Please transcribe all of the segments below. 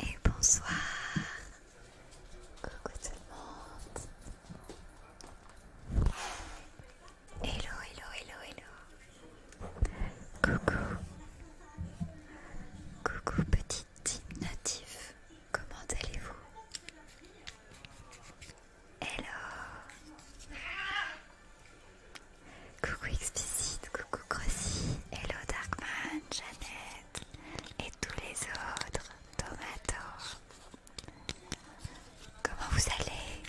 Et bonsoir. Coucou tout le monde. Hello, hello, hello, hello. Coucou. Coucou petit team natif. Comment allez-vous Hello. Coucou Explicit, coucou Crossy, hello Darkman, Jeannette et tous les autres, Tomato. Comment vous allez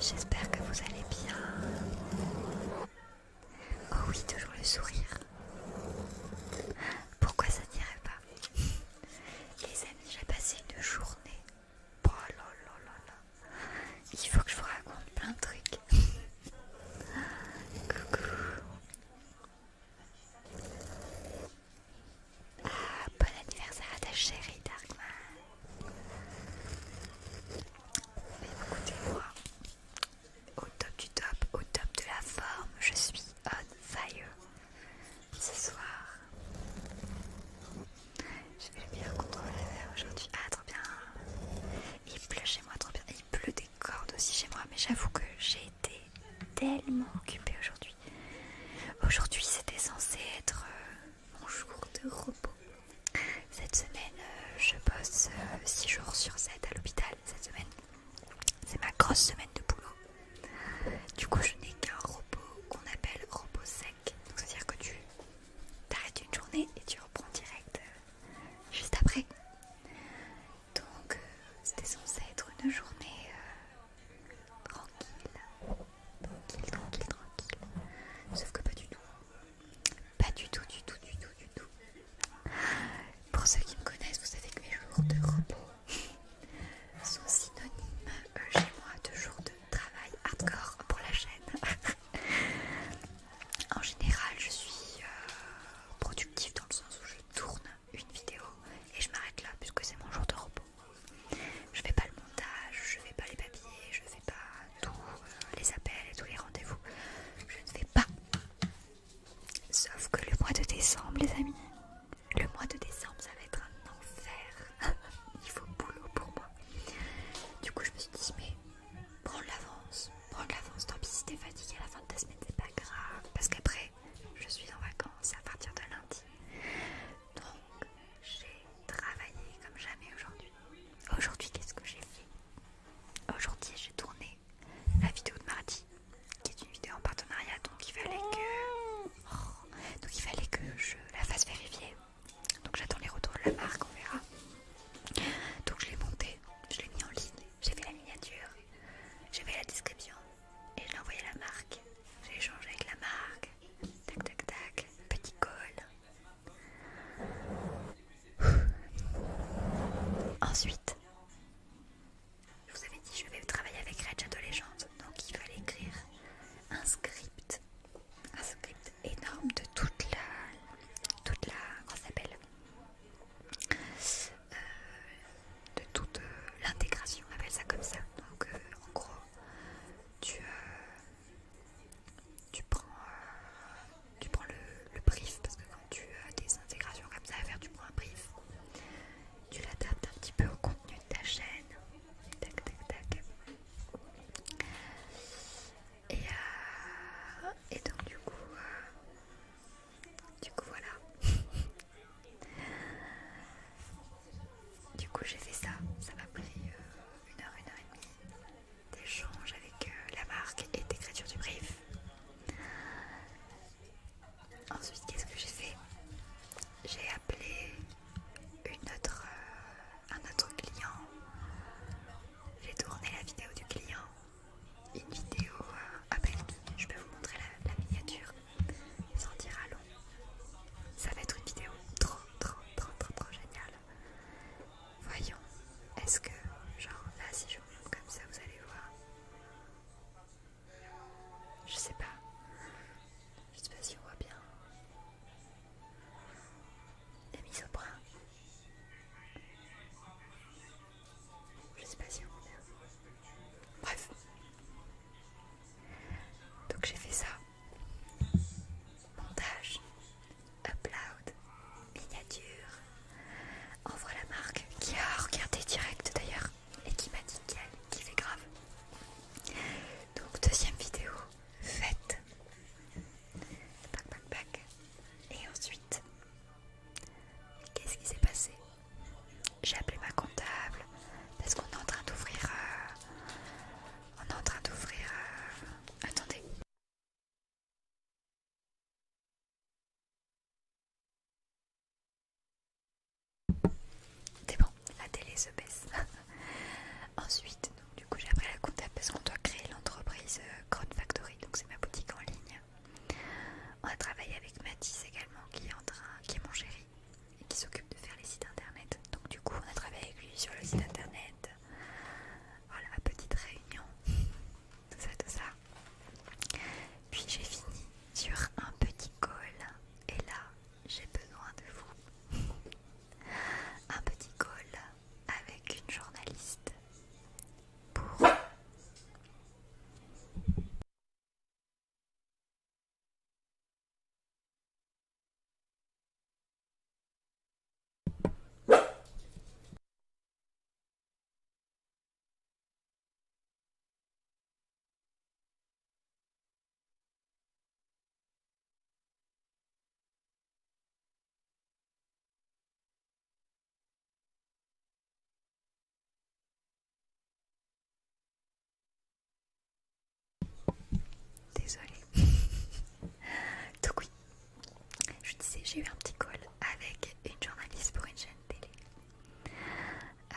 J'espère que vous allez bien. Oh oui, toujours le sourire. Pourquoi ça n'irait pas Les amis, j'ai passé une journée. Oh là là là là. Il faut que je vous raconte plein de trucs. Coucou. Ah, bon anniversaire à ta chérie Darkman. Mais écoutez-moi, au top du top, au top de la forme. Je suis on fire ce soir. Je vais bien contrôler aujourd'hui. Ah, trop bien! Il pleut chez moi, trop bien. Il pleut des cordes aussi chez moi, mais j'avoue que j'ai été tellement occupée aujourd'hui. Aujourd'hui, c'était censé être euh, mon jour de repos. Cette semaine, euh, je bosse 6 euh, jours sur 7 à l'hôpital. Cette semaine, c'est ma grosse semaine de boulot. Du coup, je n'ai qu'un repos qu'on appelle repos sec. Donc, c'est-à-dire que tu t'arrêtes une journée et tu reprends direct euh, juste après. Donc, euh, c'était censé être une journée euh, tranquille. Tranquille, tranquille, tranquille. Sauf que pas du tout. Pas du tout, du tout, du tout, du tout. Pour ceux qui me connaissent, vous savez que mes jours de repos sont synonymes euh, chez moi de jours de travail hardcore pour la chaîne. en général, je suis euh, productive dans le sens où je tourne une vidéo et je m'arrête là puisque c'est mon jour de repos. Je fais pas le montage, je fais pas les papiers, je fais pas tous euh, les appels et tous les rendez-vous. Je ne fais pas Sauf que le mois de décembre, les amis, le mois de décembre, ça va être un enfer. Il faut boulot pour moi. Du coup, je me suis dit, mais prends l'avance, prends l'avance. Tant pis si t'es fatigué à la fin de ta semaine, c'est pas grave. Parce qu'après, je suis en vacances à partir de lundi. Donc, j'ai travaillé comme jamais aujourd'hui. Aujourd'hui, qu'est-ce que j'ai fait Aujourd'hui, j'ai tourné la vidéo de mardi, qui est une vidéo en partenariat, donc il fallait que, oh, donc il fallait que je la fasse vérifier. Donc j'attends les retours de la marque, on verra. Donc je l'ai montée, je l'ai mis en ligne, j'ai fait la miniature, j'ai fait la description et j'ai envoyé à la marque. J'ai échangé avec la marque, tac tac tac, petit col. Ensuite, je vous avais dit, je vais travailler avec Red donc il fallait écrire un script, un script énorme de toute la, toute la, comment s'appelle, euh, de toute euh, l'intégration, on appelle ça comme ça. Donc euh, en gros, tu, tu prends, tu prends le, brief parce que quand tu as euh, des intégrations comme ça à faire, tu prends un brief, tu l'adaptes un petit peu au contenu de ta chaîne. Tac, tac, tac. Et, euh, donc du coup, euh, du coup voilà. du coup j'ai fait ça, ça m'a pris une heure, une heure et demie d'échange avec la marque et d'écriture du brief. Ensuite, qu'est-ce que j'ai fait J'ai appelé euh, un autre client. J'ai tourné la vidéo du client. Une vidéo à euh, je peux vous montrer la, miniature. Sans dire à long. Ça va être une vidéo trop, trop, trop, trop, trop géniale. Voyons, est-ce que, genre là, si je vous montre comme ça, vous allez voir. Je sais pas. Je sais pas si on voit bien. La mise au bras. Je sais pas si on voit bien. Bref. Donc j'ai fait ça. Montage. Upload. Miniature envoie la marque qui a regardé direct d'ailleurs et qui m'a dit qu'elle fait grave. Donc deuxième vidéo faite. Et ensuite, qu'est-ce qui s'est passé J'ai appelé ma comptable parce qu'on est en train d'ouvrir. Euh, on est en train d'ouvrir. Euh, attendez. C'est bon, la télé se baisse. Ensuite, donc, du coup, j'ai appris la comptable parce qu'on doit créer l'entreprise Cron euh, Factory, donc c'est ma boutique en ligne. On a travaillé avec Mathis également, qui est, en train, qui est mon chéri et qui s'occupe de faire les sites internet. Donc, du coup, on a travaillé avec lui sur le site internet. Voilà, petite réunion. tout ça, tout ça. Puis j'ai fini sur un petit call. et là j'ai besoin de vous. un petit call avec une journaliste pour. Désolée. Tout oui, je disais, j'ai eu un petit call avec une journaliste pour une chaîne télé. Euh,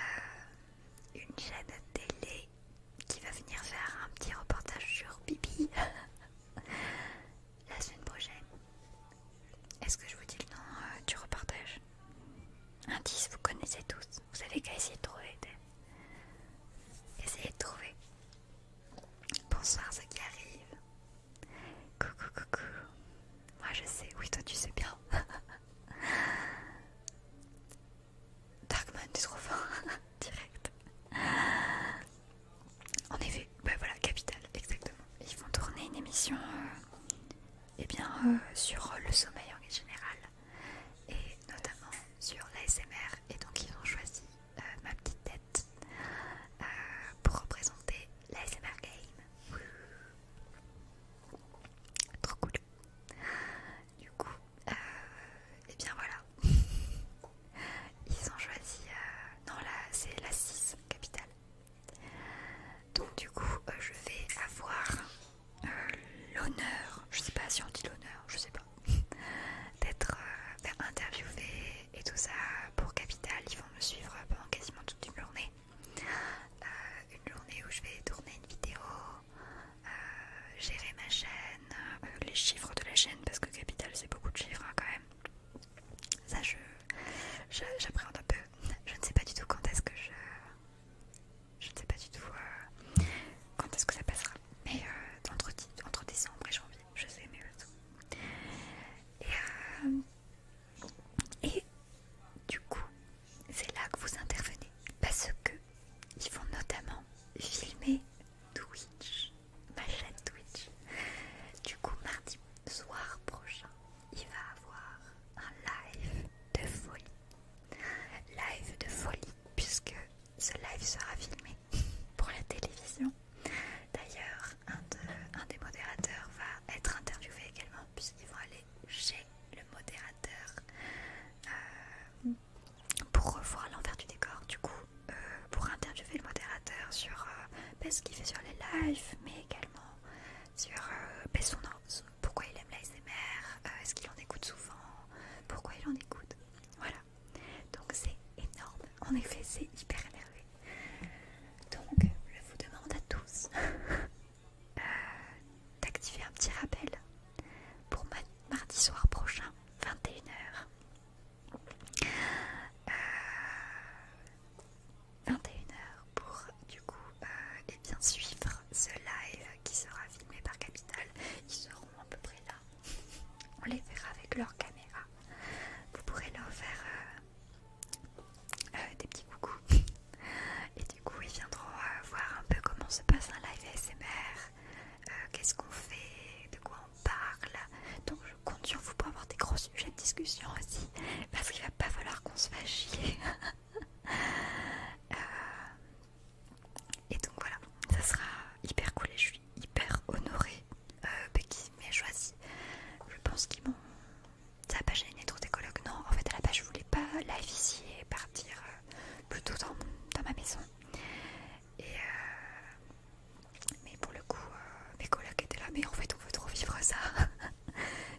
une chaîne télé qui va venir faire un petit reportage sur Bibi la semaine prochaine. Est-ce que je vous dis le nom euh, du reportage Indice, vous connaissez tous. Vous savez qu'à essayer de trouver. Essayez de trouver. Bonsoir ce qui arrive Coucou, coucou. Moi je sais, oui, toi tu sais bien. Darkman, tu es trop fort, direct. En effet, bah voilà, Capital, exactement. Ils vont tourner une émission et euh, eh bien, euh, sur le sommeil en général et notamment sur l'ASMR. Et donc, ils ont choisi euh, ma petite tête pour représenter l'ASMR Game. Trop cool. Du coup, euh, eh et bien voilà. Ils ont choisi. Euh, non, là, c'est la 6, Capital. Donc, du coup, euh, je vais avoir l'honneur, je sais pas si on dit l'honneur, je sais pas, d'être interviewé et tout ça pour Capital. Ils vont me suivre pendant quasiment toute une journée. Euh, une journée où je vais tourner une vidéo, euh, gérer ma chaîne, euh, les chiffres de la chaîne parce que Capital c'est beaucoup de chiffres hein, quand même. Ça je j'appréhende un peu. Je ne sais pas du tout quand est-ce que je je ne sais pas du tout quand est-ce que ça passera. Mais entre, entre décembre et janvier, je sais mais tout. Et euh, et du coup, c'est là que vous intervenez parce que ils vont notamment filmer Twitch, ma chaîne Twitch. Du coup, mardi soir prochain, il va avoir un live de folie. Live de folie puisque ce live sera filmé pour la télévision. D'ailleurs, un, un des modérateurs va être interviewé également puisqu'ils vont aller chez le modérateur euh, pour revoir l'envers du décor. Du coup, euh, pour interviewer le modérateur sur euh, ben, ce qu'il fait sur les lives, mais également sur ben, son, pourquoi il aime l'ASMR, est-ce qu'il en écoute souvent, pourquoi il en écoute. Voilà. Donc c'est énorme. En effet, c'est hyper énervé. Donc je vous demande à tous Euh, d'activer un petit rappel pour mardi soir prochain, 21h. Euh, 21h pour du coup et euh, eh bien suivre ce live qui sera filmé par Capital. Ils seront à peu près là. On les verra avec leur caméra. Vous pourrez leur faire euh, des petits coucous. Et du coup, ils viendront euh, voir un peu comment se passe un live ASMR, euh, qu'est-ce qu'on fait, de quoi on parle. Donc, je compte sur vous pour avoir des gros sujets de discussion aussi, parce qu'il va pas falloir qu'on se fasse chier. et donc voilà, ça sera hyper cool et je suis hyper honorée Mais qu'ils m'aient choisi. Je pense qu'ils m'ont ça va pas gêner trop des colocs. Non, en fait, à la base, je voulais pas live ici et partir euh, plutôt dans, ma maison. Et euh, mais pour le coup, euh, mes colocs étaient là. Mais en fait, on veut trop vivre ça.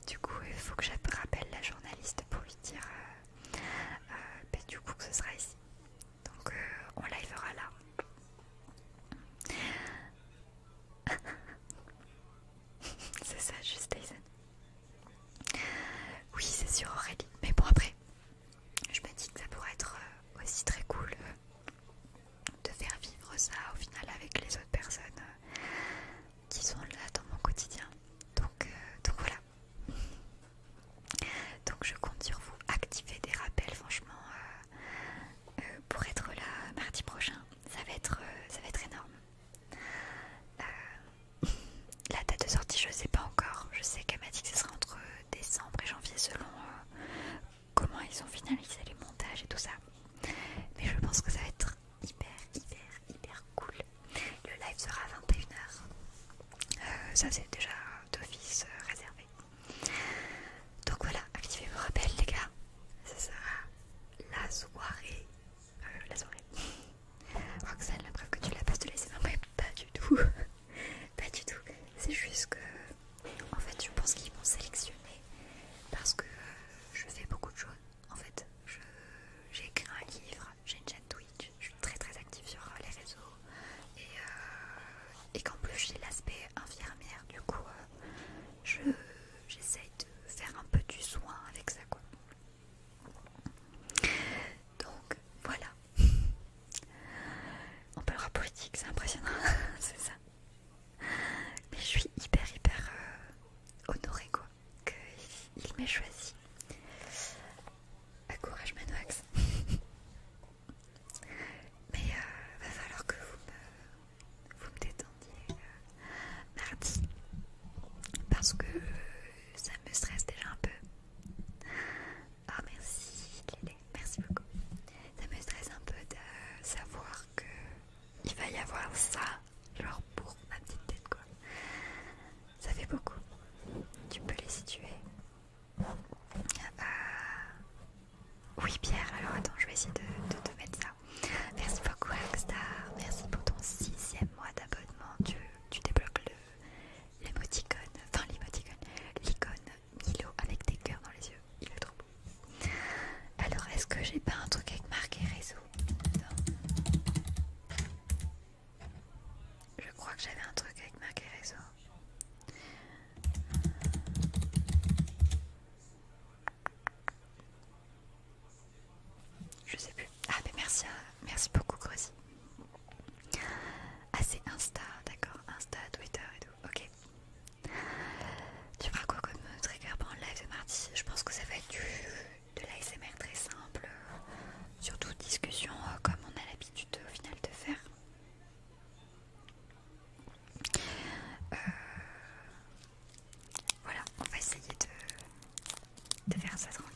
du coup, il faut que je rappelle la journaliste pour lui dire bah, du coup que ce sera ici. Donc, on livera là. c'est ça, juste Aizen. Oui, c'est sur Aurélie. Mais bon, après, je me dis que ça pourrait être euh, aussi très cool euh, de faire vivre ça au final avec les autres personnes euh, qui sont là dans mon quotidien. Donc, voilà. Donc je compte sur vous activer des rappels franchement pour être là mardi prochain. Ça va être, ça va être énorme. Euh, la date de sortie, je sais pas encore. Je sais qu'elle m'a dit que ce sera entre décembre et janvier selon euh, comment ils ont finalisé les montages et tout ça. Mais je pense que ça va être hyper, hyper, hyper cool. Le live sera à 21h. Euh, ça, c'est déjà d'office réservé. Donc voilà, activez vos rappels, les gars. Ça sera la soirée euh, la soirée. Roxane, la preuve que tu l'as pas de laisser pas du tout. pas du tout. C'est juste que, en fait, je pense qu'ils m'ont sélectionné parce que euh, je fais beaucoup de choses. En fait, j'ai écrit un livre, j'ai une chaîne Twitch, je suis très très active sur euh, les réseaux et, et qu'en plus j'ai l'aspect infirmière, du coup, je j'essaye de faire un peu du soin avec ça quoi. Donc voilà. On parlera politique, c'est impressionnant, c'est ça. Mais je suis hyper hyper euh, honorée quoi, qu'il m'ait choisi. À bah, courage Manoax. Mais euh, va falloir que vous vous me mardi parce que ça me stresse déjà un peu. Oh merci merci beaucoup. Ça me stresse un peu de savoir que il va y avoir ça, genre pour ma petite tête quoi. Ça fait beaucoup. Tu peux les situer. bah Oui Pierre, alors attends, je vais essayer de te mettre ça. Merci beaucoup Star. merci pour ton sixième mois d'abonnement. Tu, débloques l'émoticône, enfin l'émoticône, l'icône Milo avec des cœurs dans les yeux. Il est trop beau. Alors, est-ce que j'ai pas un truc avec et réseau Je crois que j'avais un truc avec et réseau. Je sais plus. Ah mais merci, euh, merci beaucoup Grosy. Ah c'est Insta, d'accord. Insta, Twitter et tout. Ok. Tu feras quoi comme euh, trigger pendant le live de mardi Je pense que ça va être du, de l'ASMR très simple. Euh, surtout discussion comme on a l'habitude au final de faire. Euh, voilà, on va essayer de, faire ça tranquille.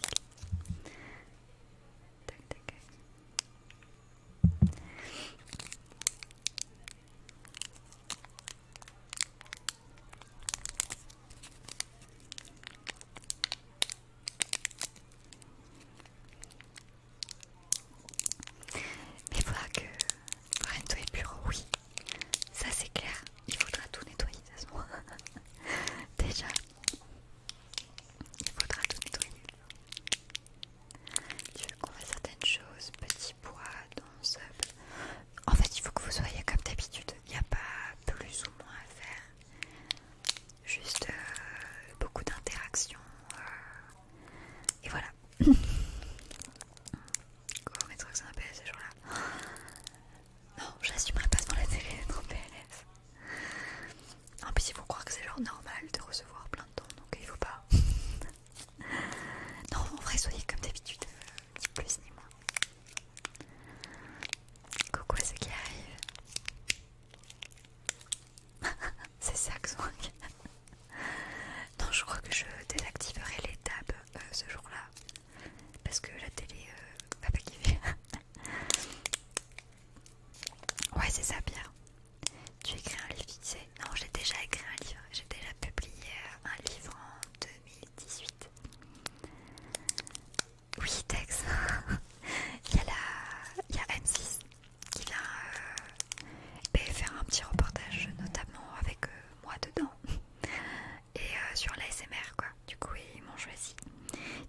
Mais voilà que Rento est bureau, oui, ça c'est clair il faudra tout nettoyer de ce Déjà, il faudra tout nettoyer. Tu veux qu'on fasse certaines choses, petit pois, danse. En fait, il faut que vous soyez comme d'habitude. Il n'y a pas plus ou moins à faire. Juste euh, beaucoup d'interactions. Euh, et voilà. Comment mettre ça un peu ce jour-là non, j'assumerai pas devant la télé d'être en PLS. En plus, il faut croire que c'est genre normal de recevoir plein de dons, donc il faut pas. non, en vrai, soyez comme d'habitude, ni plus ni moins. Coucou à ceux qui arrivent. c'est ça que Non, je crois que je désactiverai les tabs euh, ce jour-là parce que la télé va pas kiffer. ouais, c'est ça, Pierre. Tu écris un livre, tu sais Non, j'ai déjà écrit un livre. J'ai déjà publié euh, un livre en 2018. Oui, Tex. il, y a la... il y a M6 qui vient euh, ben, faire un petit reportage, notamment avec euh, moi dedans. et euh, sur l'ASMR quoi. Du coup ils m'ont choisi.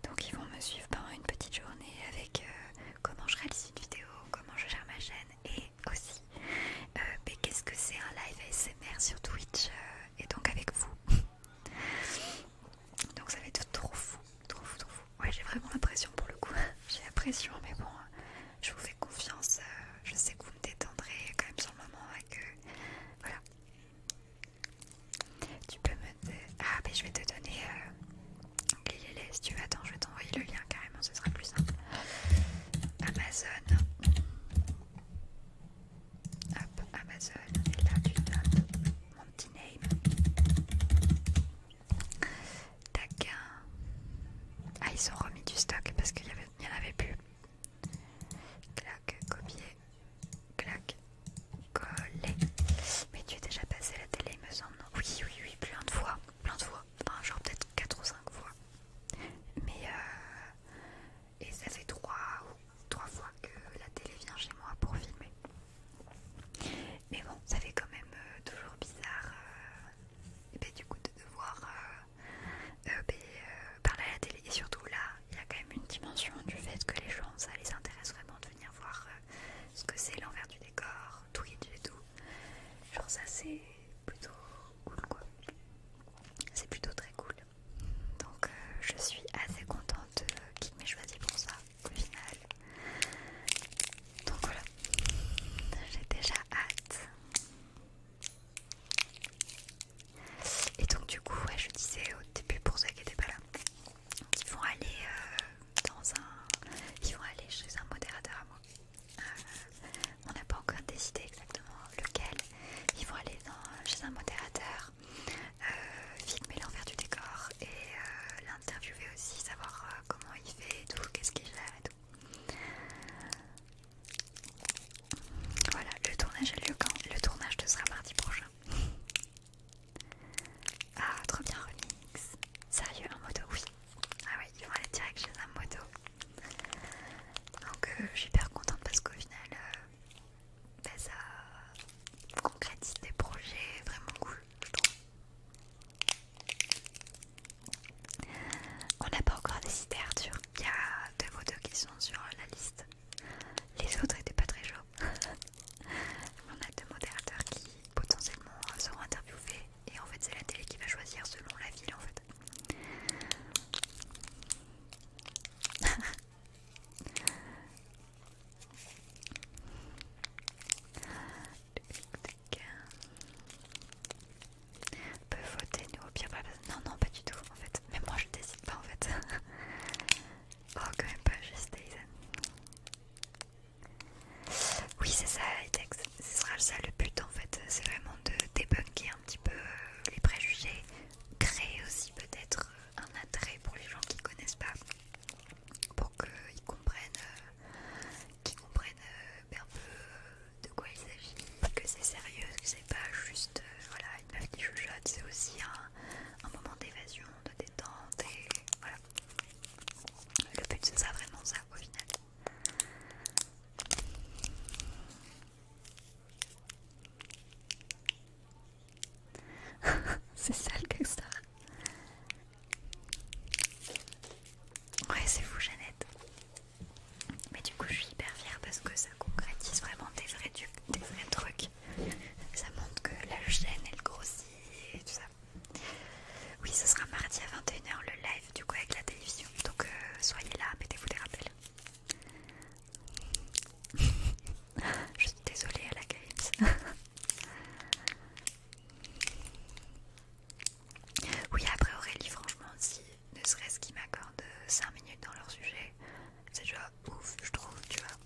Donc ils vont me suivre pendant une petite journée avec euh, comment je réalise une vidéo, comment je gère ma chaîne et aussi euh, mais qu'est-ce que c'est un live ASMR sur Twitch et donc avec vous. donc ça va être trop fou, trop fou, trop fou. Ouais j'ai vraiment l'impression pour le coup. j'ai l'impression mais bon je vous fais confiance. je sais que vous me détendrez quand même sur le moment avec hein, que voilà. Tu peux me. Ah, mais je vais te donner Ok euh, les laisse tu veux. Attends, je vais t'envoyer le lien carrément, ce sera plus simple. Amazon. Hop, Amazon. Et là, tu donnes mon petit name. Tac. Ah, ils ont remis du stock parce qu'il n'y en avait plus. Clac, copier clac, coller. Mais tu es déjà passé la télé, il me semble. oui, oui, oui, plein de fois, plein de fois. Enfin, genre peut-être 4 ou 5 fois. Mais euh, et ça fait 3 ou 3 fois que la télé vient chez moi pour filmer. Mais bon, ça fait quand même euh, toujours bizarre. Euh, et ben, du coup, de devoir ben, parler à la télé et surtout là il y a quand même une dimension du fait que les gens, ça les intéresse vraiment de venir voir euh, ce que c'est l'envers du décor, tout et tout. Genre ça c'est plutôt cool quoi. C'est plutôt très cool. Donc euh, je suis assez contente qui m'ait choisi pour ça au final. Donc voilà, j'ai déjà hâte. Et donc du coup, je disais au début pour ceux qui n'étaient pas là, qu'ils vont aller euh, dans un, ils vont aller chez un modérateur à moi. Euh, on n'a pas encore décidé exactement lequel. Ils vont aller dans, chez un modérateur, euh, filmer l'envers du décor et l'interviewer aussi, savoir comment il fait et tout, qu'est-ce qu'il a et tout. Voilà, le tournage a lieu quand Le tournage te sera mardi prochain. Ah, trop bien remix. Sérieux, un moto, oui. Ah oui, ils vont aller direct chez un moto. Donc euh, je suis hyper contente parce qu'au final, euh, bah, ça concrétise des projets vraiment cool, je trouve. On n'a pas encore décidé Arthur, il y a deux motos qui sont sur la liste. Les autres étaient pas très chauds. On a deux modérateurs qui potentiellement seront interviewés et en fait c'est la télé qui va choisir selon la ville en fait. Peut voter nous au pire pas. Non non pas du tout en fait. Mais moi je décide pas en fait. oh quand même pas juste Oui c'est ça ce sera ça le but en fait, c'est vraiment de débunker un petit peu euh, les préjugés, créer aussi peut-être euh, un attrait pour les gens qui connaissent pas, pour qu'ils comprennent, euh, qu'ils comprennent ben, un peu de quoi il s'agit, que c'est sérieux, que c'est pas juste une meuf qui c'est aussi un un, moment d'évasion, de détente et voilà. Le but c'est ça, vraiment ça au final. c'est sale que ça. Ouais, c'est vous, Jeannette. Mais du coup, je suis hyper fière parce que ça concrétise vraiment des vrais, des vrais trucs ça montre que la chaîne elle grossit et tout ça. Oui, ce sera mardi à 21h le live du coup avec la télévision. Donc euh, soyez là, mettez-vous des rappels. Je suis désolée à la Games. oui, après Aurélie, franchement, si ne serait-ce qu'ils m'accordent euh, 5 minutes dans leur sujet, c'est genre ouf, je trouve, tu vois.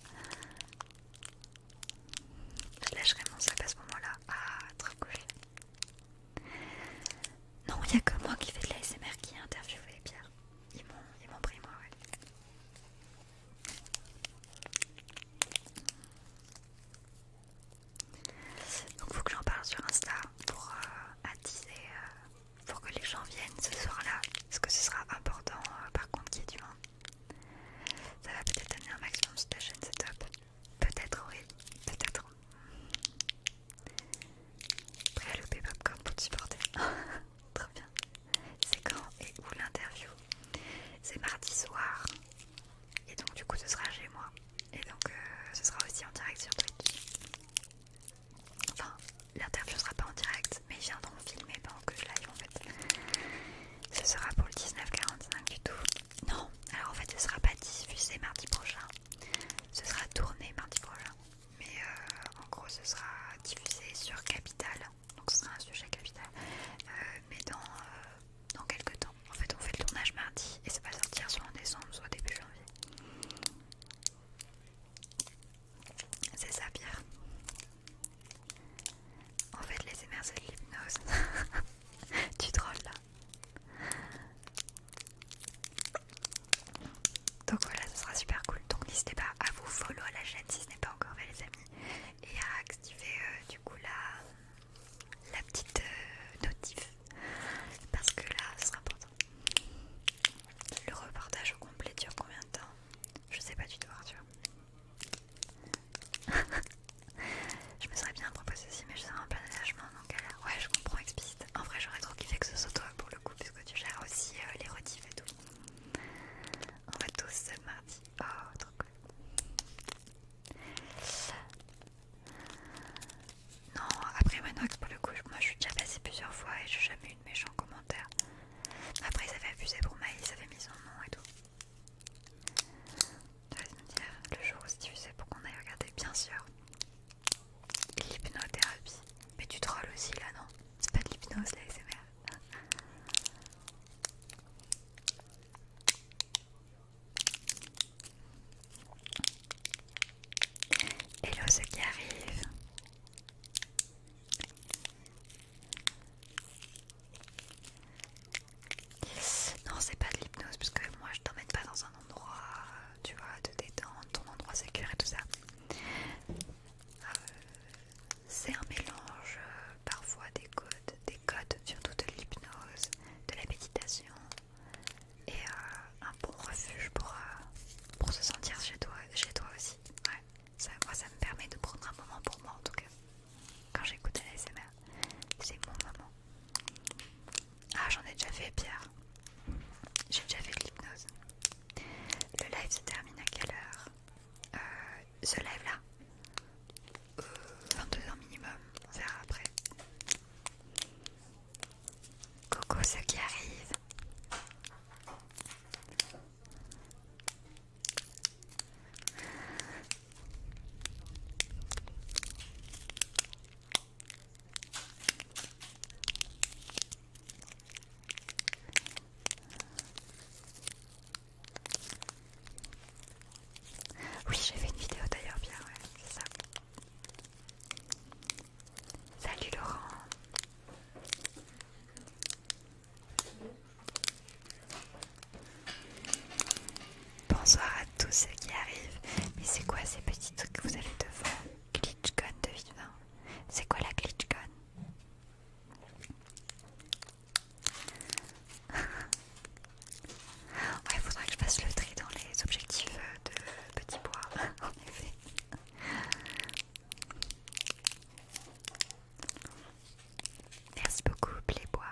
Je lâcherai mon sac à ce moment-là. Ah, trop cool. Non, il n'y a que moi qui fais de l'ASMR qui interviewe les pierres. Ils m'ont pris, moi, ouais. Donc, faut que j'en parle sur Insta pour euh, attiser euh, pour que les gens viennent ce soir-là, parce que ce sera important euh, par contre qu'il y ait du monde. Ça va peut-être amener un maximum sur ta chaîne, c'est top. Peut-être oui, peut-être. Prêt à louper Popcorn pour te supporter. Très bien. C'est quand et où l'interview C'est mardi soir. Et donc du coup ce sera chez moi. Et donc euh, ce sera aussi en direct sur Twitch. Enfin, l'interview sera pas en direct, mais ils viendront filmer pendant que je live en fait. Ce sera pour le 19.45 du tout. Non, alors en fait, ce sera pas diffusé mardi prochain. Ce sera tourné mardi prochain. Mais euh, en gros, ce sera diffusé sur Capital. Donc ce sera un sujet Capital. Euh, mais dans, euh, dans quelques temps. En fait, on fait le tournage mardi et ça va sortir soit en décembre, soit début janvier. C'est ça Pierre. En fait les émerges de l'hypnose. tu drôle là. Donc voilà, ce sera super cool. Donc n'hésitez pas à vous follow à la chaîne si ce n'est pas encore fait les amis. Et à activer euh, du coup la, la petite euh, notif. Parce que là, ce sera important. Le reportage au complet dure combien je sais pas du tout, Arthur. je me serais bien proposé aussi, mais je serais en plein détachement, donc euh, ouais, je comprends explicite. En vrai, j'aurais trop kiffé que ce soit toi pour le coup, puisque tu gères aussi euh, les rotifs et tout. On va tous ce mardi. Oh, trop cool. Non, après Manox, pour le coup, moi je suis déjà passée plusieurs fois et j'ai jamais eu de méchant comment après, ils avaient abusé pour Maïs, ils avaient mis son nom et tout. Tu dire, le jour où c'est diffusé pour qu'on aille regarder, bien sûr. L'hypnothérapie. Mais tu trolls aussi là, non C'est pas de l'hypnose, la SMR. Hello, ceux qui arrive non, c'est pas de l'hypnose, parce que moi je t'emmène pas dans un endroit, euh, tu vois, de détente, ton endroit sécure et tout ça. Euh, c'est un mélange euh, parfois des codes, des codes surtout de l'hypnose, de la méditation et un bon refuge pour, se sentir chez toi, chez toi aussi. Ça, moi, ça me permet de prendre un moment pour moi en tout cas. Quand j'écoute l'ASMR, c'est mon moment. Ah, j'en ai déjà fait, Pierre. J'ai déjà fait de l'hypnose. Le live se termine à quelle heure euh, Ce live là 22h minimum, on verra après. Coco, ceux qui arrive. Oui, j'ai fait une vidéo d'ailleurs, bien, ouais, c'est ça. Salut Laurent. Bonsoir à tous ceux qui arrivent. Mais c'est quoi ces petits trucs que vous avez devant Glitchcon de Vivin. C'est quoi la Glitchcon Ouais, faudrait que je passe le tri dans les objectifs de petit bois, en effet. Merci beaucoup, Playboy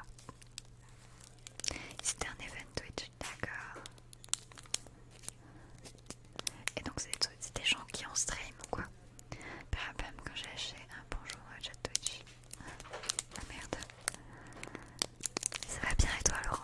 C'était un event Twitch, d'accord. Et donc, c'est des gens qui ont stream ou quoi Par quand j'ai acheté un bonjour à chat Twitch. Ah merde. Ça va bien et toi, Laurent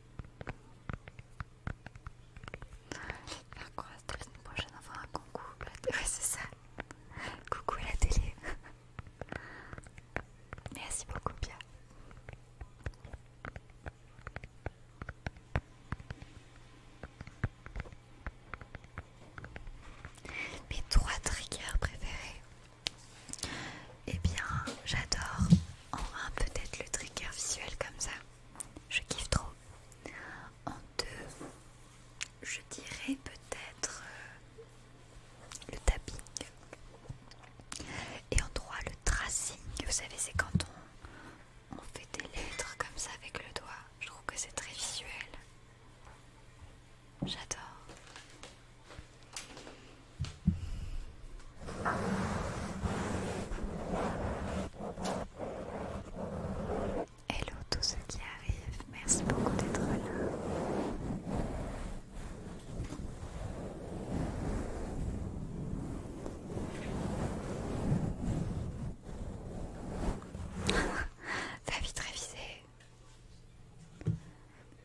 Je Faire quoi la semaine prochaine fois un concours Oui, Ouais c'est ça Coucou à la télé Merci beaucoup Pia Mes trois triggers préférés eh bien, j'adore en un peut-être le trigger visuel comme ça. Je kiffe trop. En deux, je dirais peut-être euh, le tapping. Et en trois, le tracing. Vous savez, c'est quand on fait des lettres comme ça avec le doigt. Je trouve que c'est très visuel. J'adore. Hello tous ceux qui arrivent, merci beaucoup d'être là. Vie vite visée.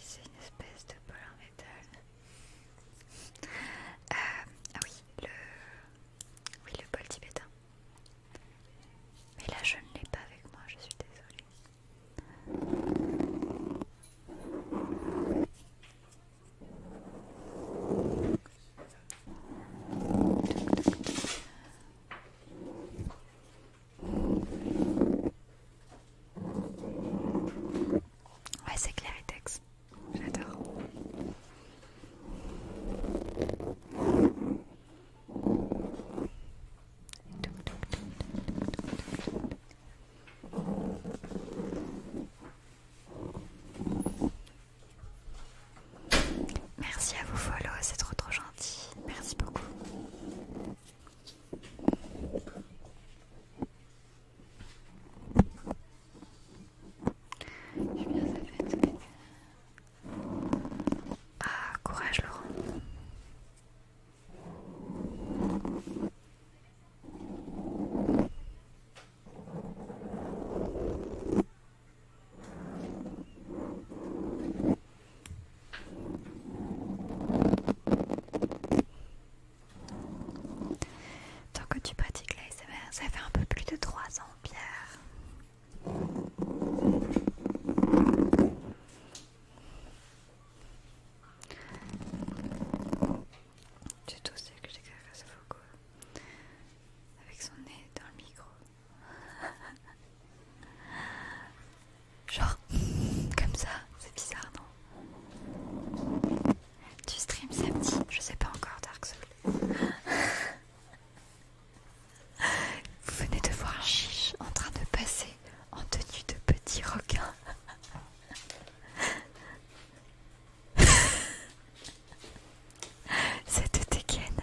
c'est une espèce de bol en métal. Euh, ah oui, le... Oui, le bol tibétain. Mais là, je ne l'ai pas avec moi, je suis désolée. Ouais, c'est Claritex, j'adore. Merci à vous followers, c'est trop trop gentil. Merci beaucoup. Je suis bien ça fait. Ah, courage Laurent. Tant que tu pratiques l'ASMR, ça fait un peu plus de 3 ans, Pierre. J'ai toussé que j'ai à Foucault avec son nez dans le micro. Genre, comme ça, c'est bizarre, non Tu stream samedi Je sais pas encore, Dark Souls. Vous venez de voir Chiche en train de passer en tenue de petit requin. Cette dégaine.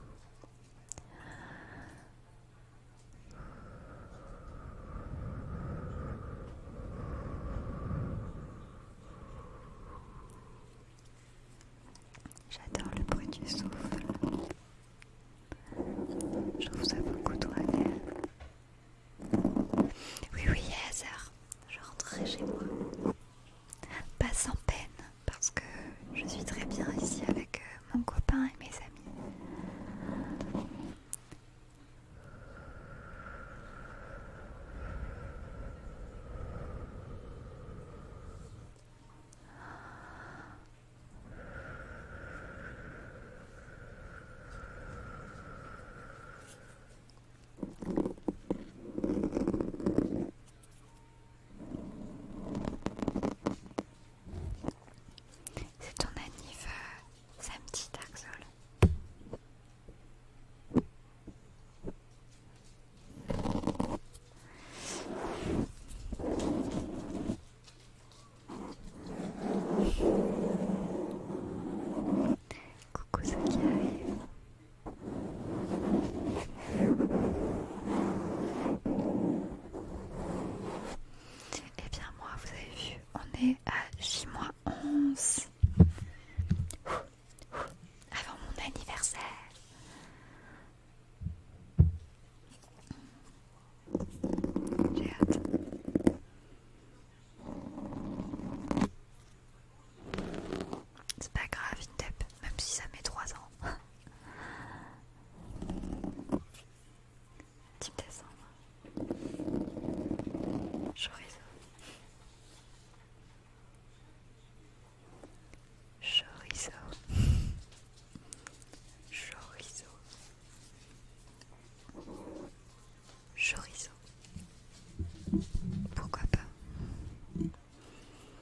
J'adore le bruit du souffle. Je trouve ça beaucoup trop à Oui, oui, il Je rentrerai chez moi. Pas sans peine, parce que je suis très bien ici avec euh, mon copain et mes amis. C'est ton anniv euh, samedi, Dark Soul. Coucou ceux qui arrivent. Et eh bien moi, vous avez vu, on est à mois 11 avant mon anniversaire. J'ai hâte. C'est pas grave, Indep même si ça met trois ans. Type décembre. Chorizo. Chorizo. Chorizo. Chorizo. Pourquoi pas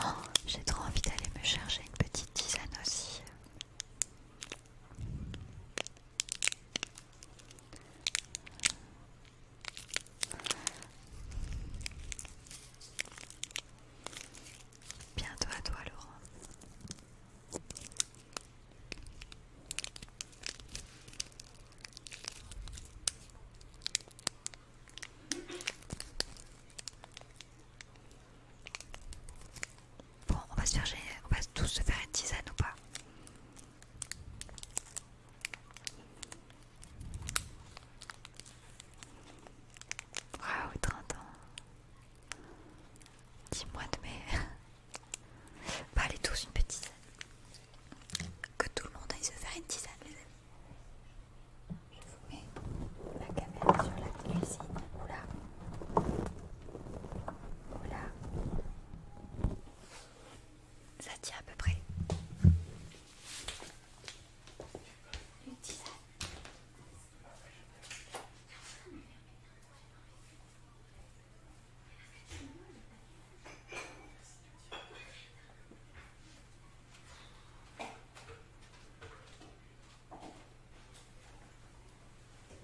Oh, j'ai trop envie d'aller me chercher une petite tisane aussi. Bientôt à toi, Laurent. Bon, on va se faire, on va tous se faire une tisane ou pas Waouh, 30 ans. 10 mois de mai. Bah, allez, tous une petite Que tout le monde aille se faire une petite les amis. Je vous mets la caméra sur la cuisine. Oula. Oula. Ça tient à peu près.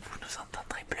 Vous nous entendrez bleu.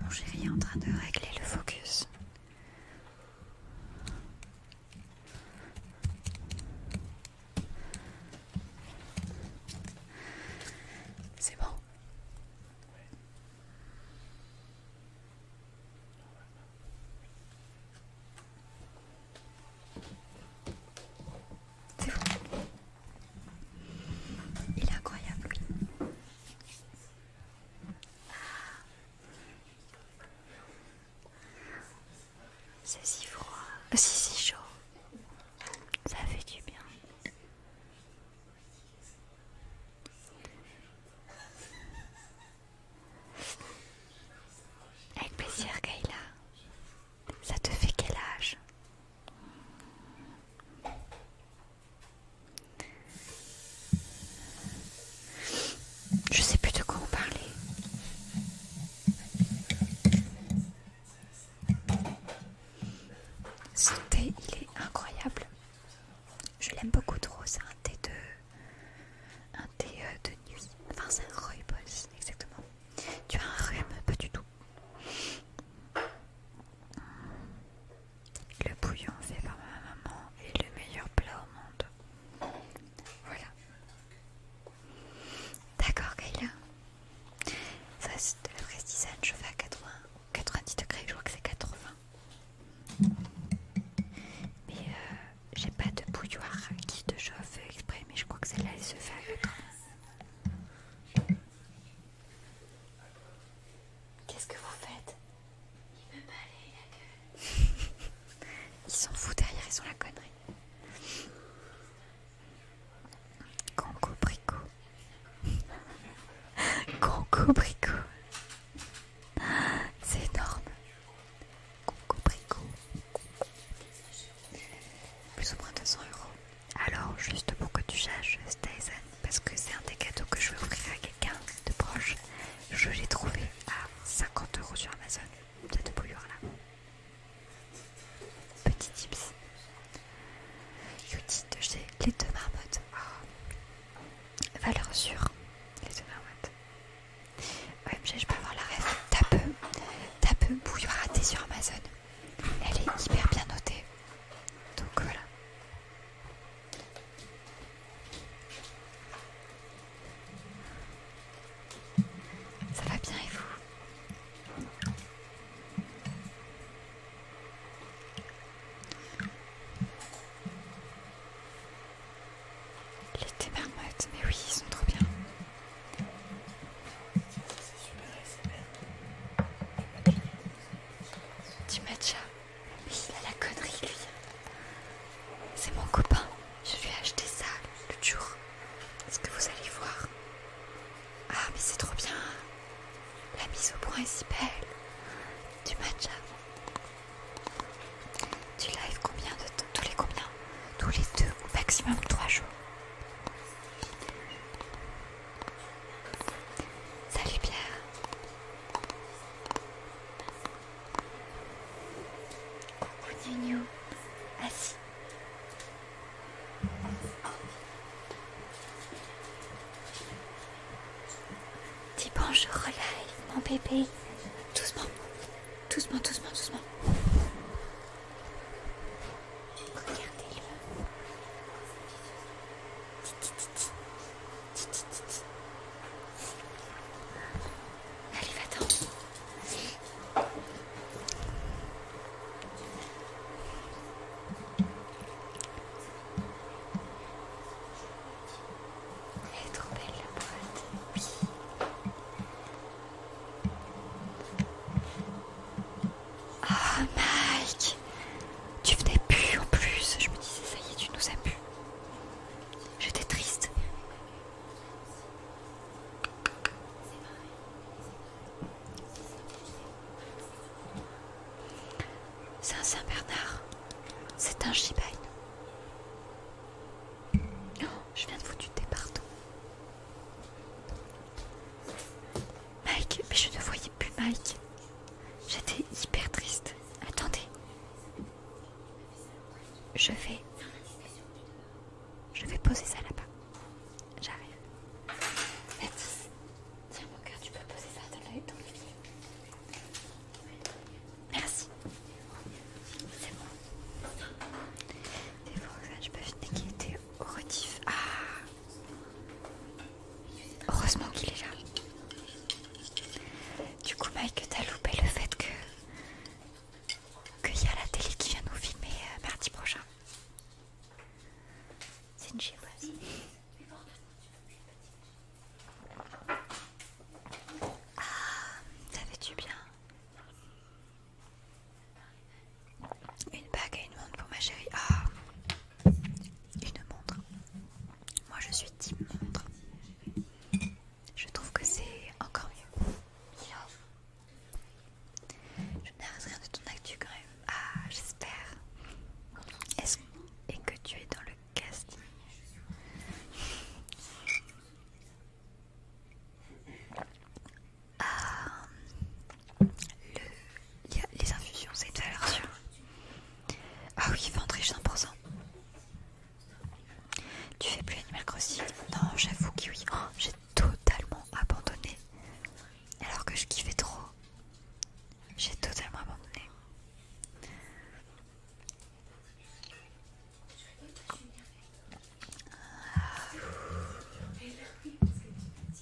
Mon chéri en train de régler le focus. C'est bon. C'est froid. Il est incroyable. C'est si froid. si si chaud. Ça fait du bien. Avec plaisir, Kayla. Ça te fait quel âge Je sais plus de quoi on parlait. Ce thé, il est incroyable. Je l'aime beaucoup trop. C'est un thé de, un thé euh, de nuit. Enfin, c'est un rooibos, exactement. Tu as un rhume Pas du tout. Le bouillon fait par ma maman est le meilleur plat au monde. Voilà. D'accord, Kayla. Ça, c'est de la fraise chauffée à 80, 90 degrés. Je crois que c'est 80. Mais euh, j'ai pas de bouilloire qui te chauffe exprès, mais je crois que celle-là elle se fait à Qu'est-ce que vous faites Il me aller la gueule. ils s'en foutent derrière, ils sont la connerie. Conco brico. Conco brico. C'est énorme. Conco brico plus ou moins 200 euros. Alors, juste pour que tu saches, Stazen, parce que c'est un des cadeaux que je vais offrir à quelqu'un de proche, je l'ai trouvé à 50 euros sur Amazon, cette bouilloire là. Petit tips. Youtube de chez les deux marmottes. Oh. Valeur sûre, les deux marmottes. Ouais je peux avoir la rêve. Tape, peu bouilloire sur Amazon. Elle est hyper bien notée. Donc voilà. Ça va bien et vous Les marmottes, mais oui, ils sont trop bien c'est Du matcha. Mais il a la connerie lui. C'est mon copain. Je lui ai acheté ça le jour. Est-ce que vous allez voir Ah mais c'est trop bien. La mise au point Du matcha. Tu live combien de temps Tous les combien Tous les deux ou maximum trois jours Salut Pierre. Coucou Nino. Assis. Dis bonjour, relève, mon bébé. Doucement, doucement, doucement, doucement. Regardez-le. Allez, va Elle est trop belle la boîte. Oh Mike Tu venais plus en plus. Je me disais, ça y est, tu nous as plus. J'étais triste. C'est un Saint-Bernard. C'est un Shiba Inu. Oh, je viens de vous tuer, partout Mike, mais je ne voyais plus Mike. J'étais hyper triste. Attendez. Je vais... Je vais poser ça là-bas. J'arrive. tiens mon cœur, tu peux poser ça dans le, Merci. C'est bon. C'est bon, je peux finir qui était au Ah Heureusement qu'il est là. Du coup, Mike, t'as loupé le fait que. qu'il y a la télé qui vient nous filmer euh, mardi prochain. C'est une Ah, ça fait du bien. Une bague et une montre pour ma chérie. Ah Une montre. Moi je suis type montre. Je trouve que c'est encore mieux. Je n'arrête rien de ton actu quand même. Ah, j'espère. Est-ce et que tu es dans le casting ah, les infusions, c'est une valeur sûre. Ah oui, ventriche 100%. Tu fais plus Animal Crossing Non, j'avoue que oui. Oh, j'ai totalement abandonné. Alors que je kiffais trop. J'ai totalement abandonné. Ah.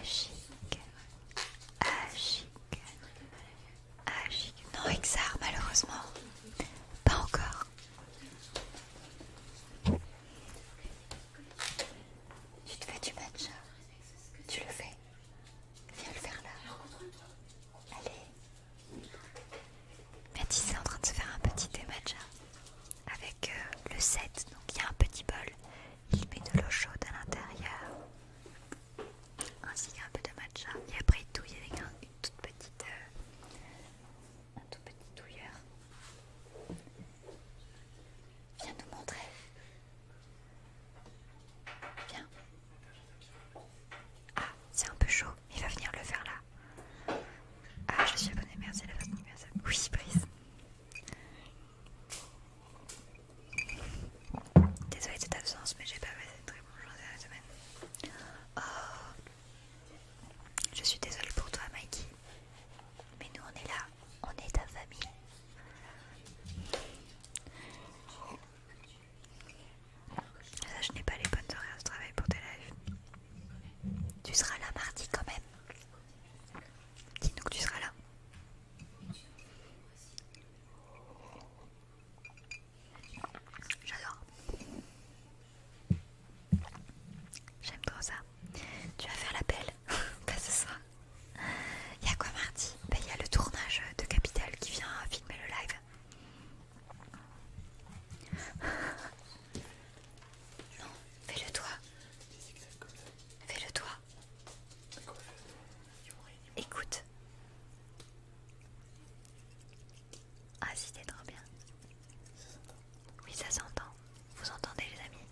Agique, Non, Exar, malheureusement, pas encore. Tu te fais du matcha, hein. tu le fais. Viens le faire là. Allez. Mathis est en train de se faire un petit thé matcha. Hein avec euh, le set. Donc il y a un petit bol, il met de l'eau chaude à l'intérieur, ainsi qu'un peu de matcha. Et après il y avec une toute petite, euh, tout petit Viens nous montrer. Viens. Ah, c'est un peu chaud. Il va venir le faire là. Ah, je suis abonnée. Merci la façon Oui, prise Désolée de cette absence, mais j'ai pas passé de très bon journée de la semaine. Oh, je suis désolée pour toi, Mikey. Mais nous, on est là, on est ta famille. je n'ai pas les bonnes horaires de travail pour tes lives. Tu seras là mardi quand même. Dis-nous que tu seras là. J'adore. J'aime trop ça. Tu vas faire l'appel Pas ce soir. Il y a quoi mardi bah, Il y a le tournage de Capital qui vient filmer le live. Non, fais-le toi. Fais-le toi. Écoute. Ah si, t'es trop bien. Oui, ça s'entend. Vous entendez les amis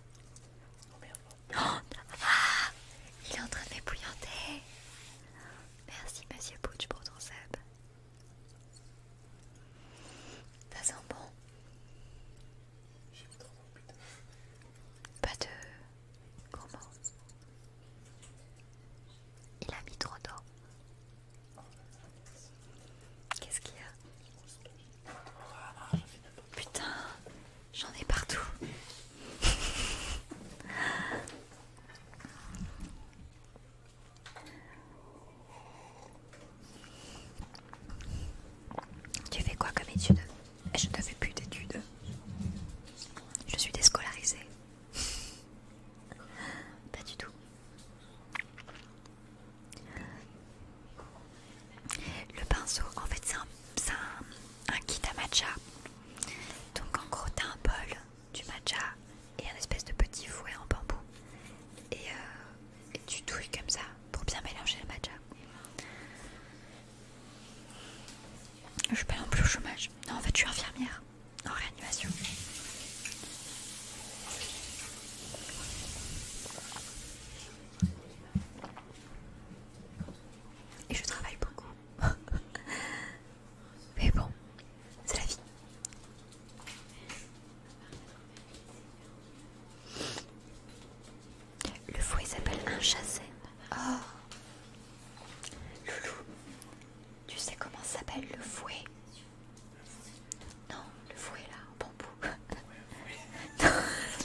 oh, Il est en train de m'épouillanter. Merci Monsieur Pouch pour ton sub. Ça sent bon. J'ai mis Pas de. Comment Il a mis trop d'eau. Qu'est-ce qu'il y a Putain, j'en ai partout. Tu fais quoi comme étude eh, Je ne fais plus d'études. Je suis déscolarisée. Pas du tout. Le pinceau, en fait, c'est un, kit à matcha. Donc, en gros, t'as un bol, du matcha et un espèce de petit fouet en bambou. Et, euh, et tu touilles comme ça pour bien mélanger le matcha. Je suis pas non plus au chômage. Non, en fait, je suis infirmière en réanimation. Et je travaille beaucoup. Mais bon, c'est la vie. Le fouet s'appelle un chassène. Oh Loulou, tu sais comment s'appelle le fouet Non, le fouet là, en bambou.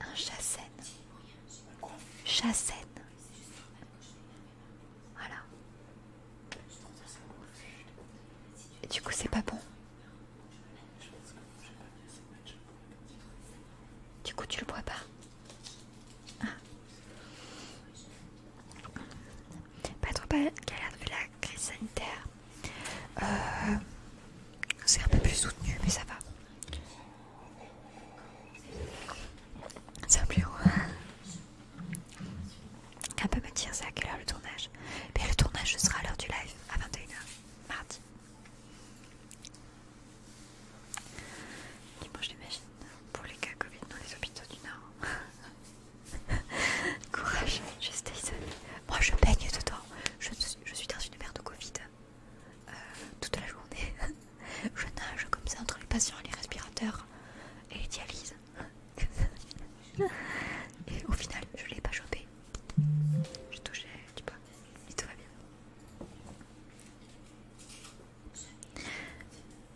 Un chassène. Chassène. Voilà du coup, c'est pas bon. Du coup, tu le bois pas. Ah. Pas trop pas galère vu la crise sanitaire. Euh, c'est un peu plus soutenu, mais ça va. C'est un plus haut. Un peu me dire c'est à quelle heure le tournage Bien, le tournage sera à l'heure du live, à 21h, mardi. je j'imagine, pour les cas Covid dans les hôpitaux du Nord. Courage, je stay Moi, je baigne dedans. Je, je suis dans une merde de Covid euh, toute la journée. je nage comme ça entre les patients et les respirateurs et les dialyses. Et au final, je l'ai pas chopé. Je touchais, tu vois, mais tout va bien.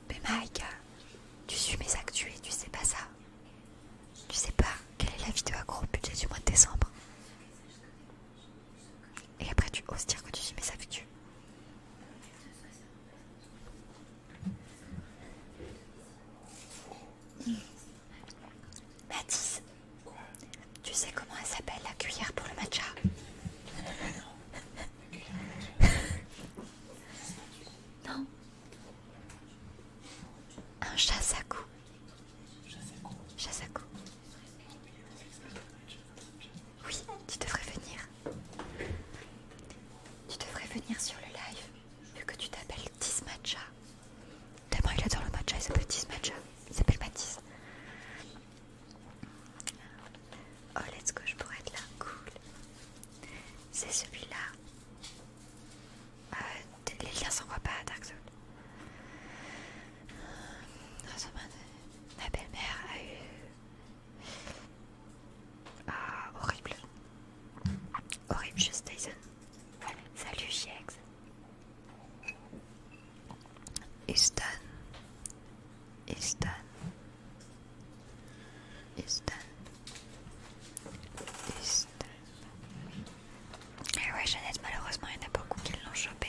Mais Mike, tu suis mes actus et tu sais pas ça. Tu sais pas quelle est la vidéo à gros budget du mois de décembre. Et après, tu oses dire que tu suis mes actus. Mathis, tu sais comment elle s'appelle la cuillère pour le matcha Non Un à Chasaku. Oui, tu devrais venir. Tu devrais venir sur le live vu que tu t'appelles Tis Matcha, tellement il adore le matcha, il s'appelle Tis Matcha, il s'appelle Matisse. Oh, let's go, je pourrais être là, cool. C'est celui-là. Euh, les liens s'envoient pas à Dark Souls. Ah, ma belle-mère a eu. Ah, horrible. Horrible, juste Tyson. Salut Giex. Estan Estan Estan Estan eh Et ouais, Jeannette, malheureusement, il y en a beaucoup qui l'ont chopé.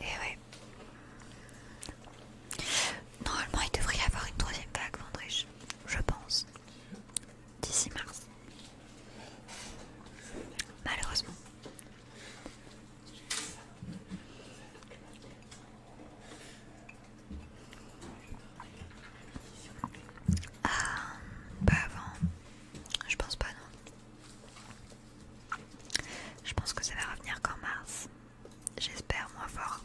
Et ouais. Normalement, il devrait y avoir une troisième vague, Vendriche je pense. D'ici mars. Malheureusement. Ah, pas avant. Je pense pas, non. Je pense que ça va revenir qu'en mars. J'espère moins fort.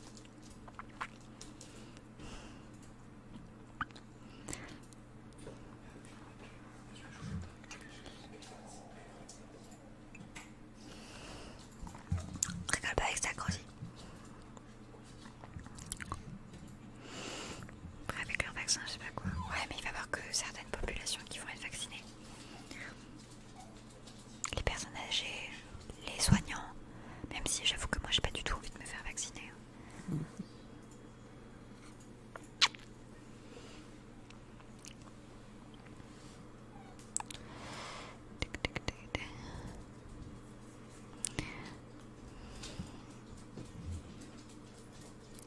Rigole pas avec ça, Après, Avec leur vaccin, je sais pas quoi. Ouais, mais il va y avoir que certaines populations qui vont être vaccinées les personnes âgées, les soignants, même si j'avoue que moi j'ai pas du tout envie de me faire vacciner.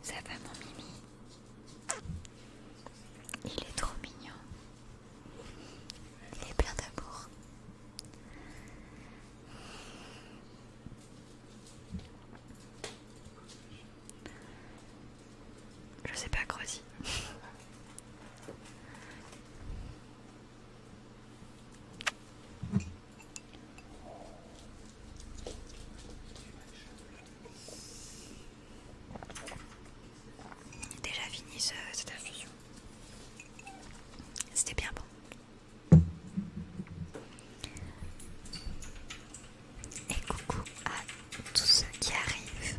Ça va mon mimi Il est trop mignon. Il est plein d'amour. Je sais pas creuser déjà fini cette infusion. C'était bien bon. Et coucou à tous ceux qui arrivent.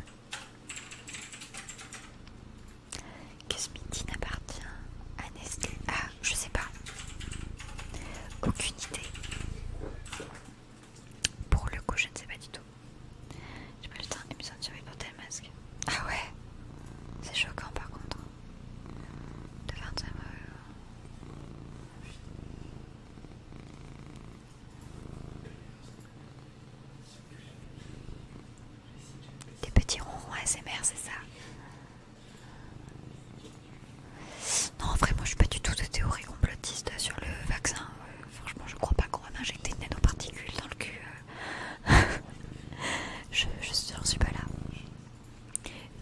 Que ce midi n'appartient à Nestlé. Ah, je sais pas. Aucune idée. Pour le coup, je ne sais pas du tout. J'ai pas le temps, me de survie pour tel masque. Ah ouais C'est choquant par contre. De 25 Des petits ronds ASMR, c'est ça non, en vrai, moi je suis pas du tout de théorie complotiste sur le vaccin. Euh, Franchement, je crois pas qu'on va m'injecter une nanoparticules dans le cul. Euh. je ne suis pas là.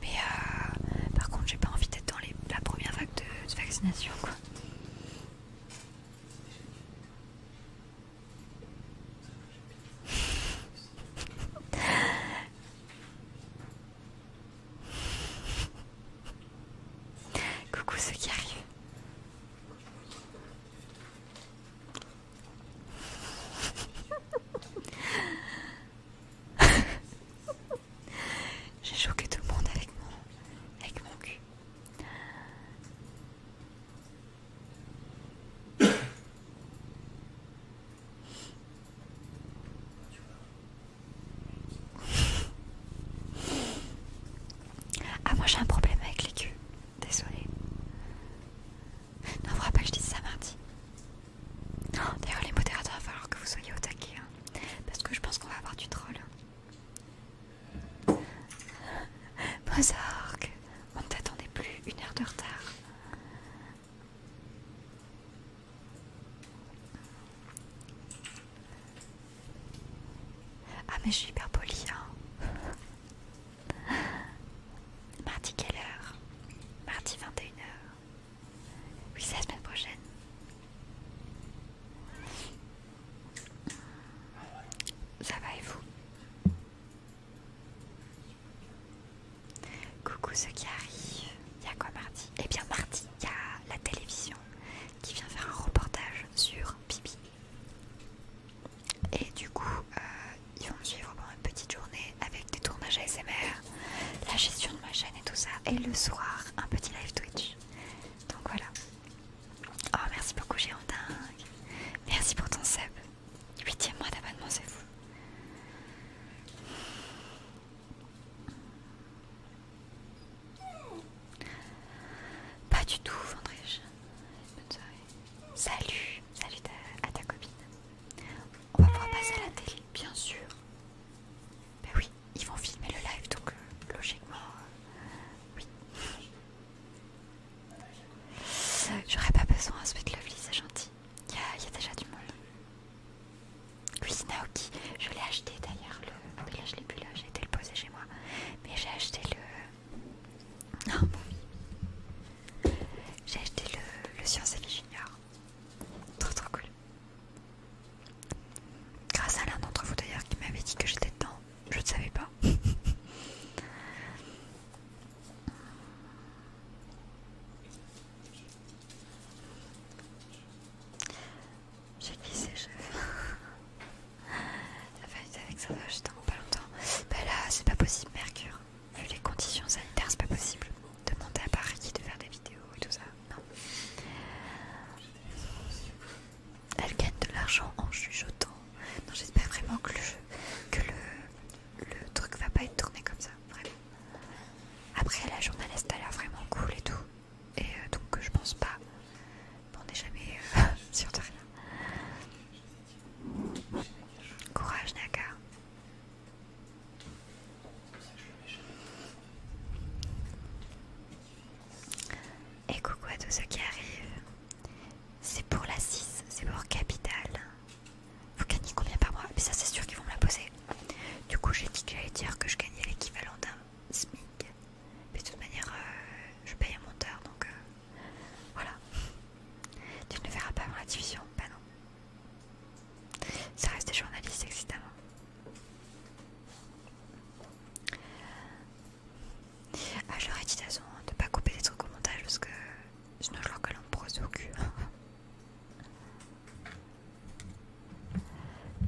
Mais euh, par contre, j'ai pas envie d'être dans la première vague de, vaccination. Coucou ceux qui arrivent. J'ai choqué tout le monde avec mon, avec mon cul. Ah, moi j'ai un problème avec les culs. Désolée. Non, faudra pas que je dise ça mardi. Oh, d'ailleurs, les modérateurs, il va falloir que vous soyez au taquet. Hein. parce que je pense qu'on va avoir du troll. Mozark, on ne t'attendait plus une heure de retard. Ah mais je suis hyper polie hein Mardi quelle heure Mardi 21h Oui c'est la semaine prochaine Ça va et vous Coucou ceux qui arrivent Il y a quoi mardi Eh bien mardi il y a la télévision qui vient faire un reportage sur Bibi et du coup, euh, ils vont me suivre pendant une petite journée avec des tournages ASMR, la gestion de ma chaîne et tout ça, et le soir, un petit live Twitch. Donc voilà. Oh, merci beaucoup, dingue. Merci pour ton sub. 8 mois d'abonnement, c'est fou. Pas du tout, Vendrèche. Salut, salut à ta copine. On va pouvoir passer à la télé, bien sûr. Ben oui, ils vont filmer le live, donc euh, logiquement, euh, oui. J'aurais pas besoin, hein, Sweet Lovely, c'est gentil. Il y, a déjà du monde. Cuisine je l'ai acheté d'ailleurs, le... je l'ai plus là, j'ai été le poser chez moi. Mais j'ai acheté le... Non. Ah, J'ai acheté le, Science et Vie Junior. Trop trop cool. Grâce à l'un d'entre vous d'ailleurs qui m'avait dit que j'étais dedans. Je ne savais pas. J'ai glissé, chef. Ça être avec ça, je t'en pas longtemps. Bah là, c'est pas possible, Mercure. Vu les conditions sanitaires, c'est pas possible. Demander à Paris de faire des vidéos et tout ça, non. Elle gagne de l'argent en chuchotant. Non, j'espère vraiment que le jeu, que le, truc va pas être tourné comme ça, vraiment. Après, la journaliste a l'air vraiment cool et tout, et euh, donc je pense pas on n'est jamais euh, sûr de rien. Courage Naka. Et coucou à tous ceux qui arrivent. C'est pour la 6, c'est pour Capital. Vous gagnez combien par mois Mais ça c'est sûr qu'ils vont me la poser. Du coup j'ai dit que j'allais dire que je gagnais l'équivalent d'un SMIC de toute manière, euh, je paye un monteur, donc euh, voilà. Tu ne verras pas avant la diffusion, ben non. Ça reste des journalistes, évidemment. Ah, j'aurais dit de ne pas couper des trucs au montage parce que sinon je leur colle en prose au cul.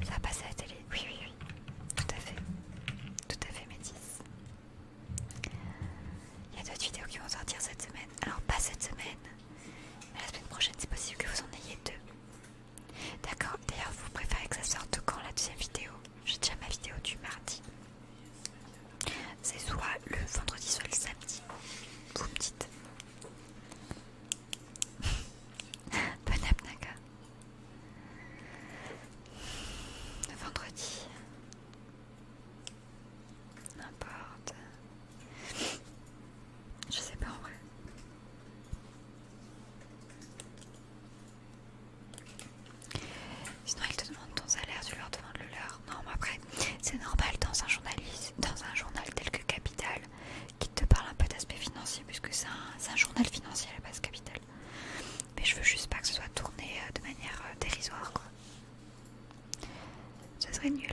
Ça va passer à la télé, oui, oui, oui, tout à fait, tout à fait, Métis. Il y a d'autres vidéos qui vont sortir cette semaine. Alors pas cette semaine, mais la semaine prochaine c'est possible que vous en ayez deux. D'accord, d'ailleurs vous préférez que ça sorte quand la deuxième vidéo J'ai déjà ma vidéo du mardi. C'est soit le vendredi, soit le samedi. Vous me dites. Bonne app, Vendredi. N'importe. Je sais pas en vrai. Sinon ils te demandent ton salaire, tu leur demandes le leur. Non mais après, c'est normal dans un journaliste, dans un journal tel que Capital, qui te parle un peu d'aspect financier, puisque c'est un, un journal financier à la base Capital. Mais je veux juste pas que ce soit tourné euh, de manière euh, dérisoire quoi. Ce serait nul.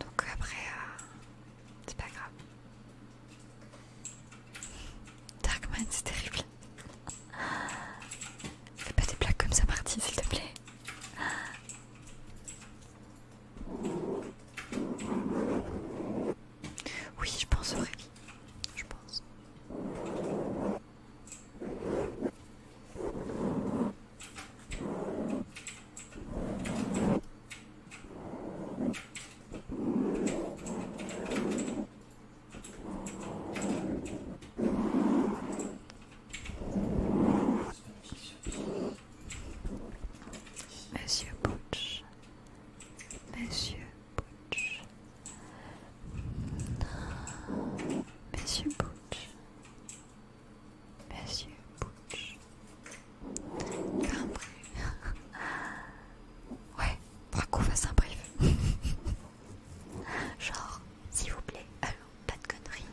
Donc après, euh, c'est pas grave. Darkman, c'est terrible. Fais pas des blagues comme ça, Martine, s'il te plaît. Oui, je pense vrai. Je pense. Monsieur Butch, Monsieur Butch, Monsieur Butch, Monsieur Butch, Ouais, pourquoi qu'on fasse un brief. Genre, s'il vous plaît, allô, pas de conneries.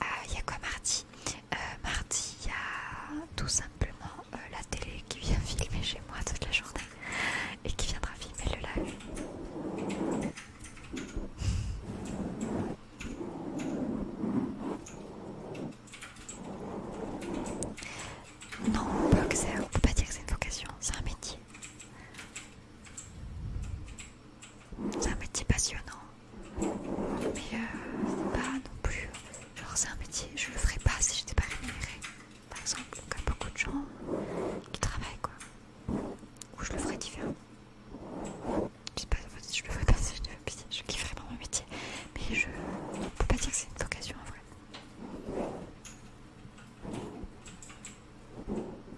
Ah, il y a quoi mardi euh, Mardi, il y a tout simplement euh, la télé qui vient filmer chez moi toute la journée et qui viendra filmer le live. Non, on ne peut pas dire que c'est une vocation, c'est un métier. C'est un métier passionnant. Mais euh, c'est pas non plus. Genre, c'est un métier, je le ferais pas si j'étais pas rémunérée. Par exemple, comme beaucoup de gens qui travaillent, quoi. Ou je le ferais différemment Je sais pas, je le ferais pas si j'étais pas je kifferais pas mon métier. Mais je peux pas dire que c'est une vocation en vrai.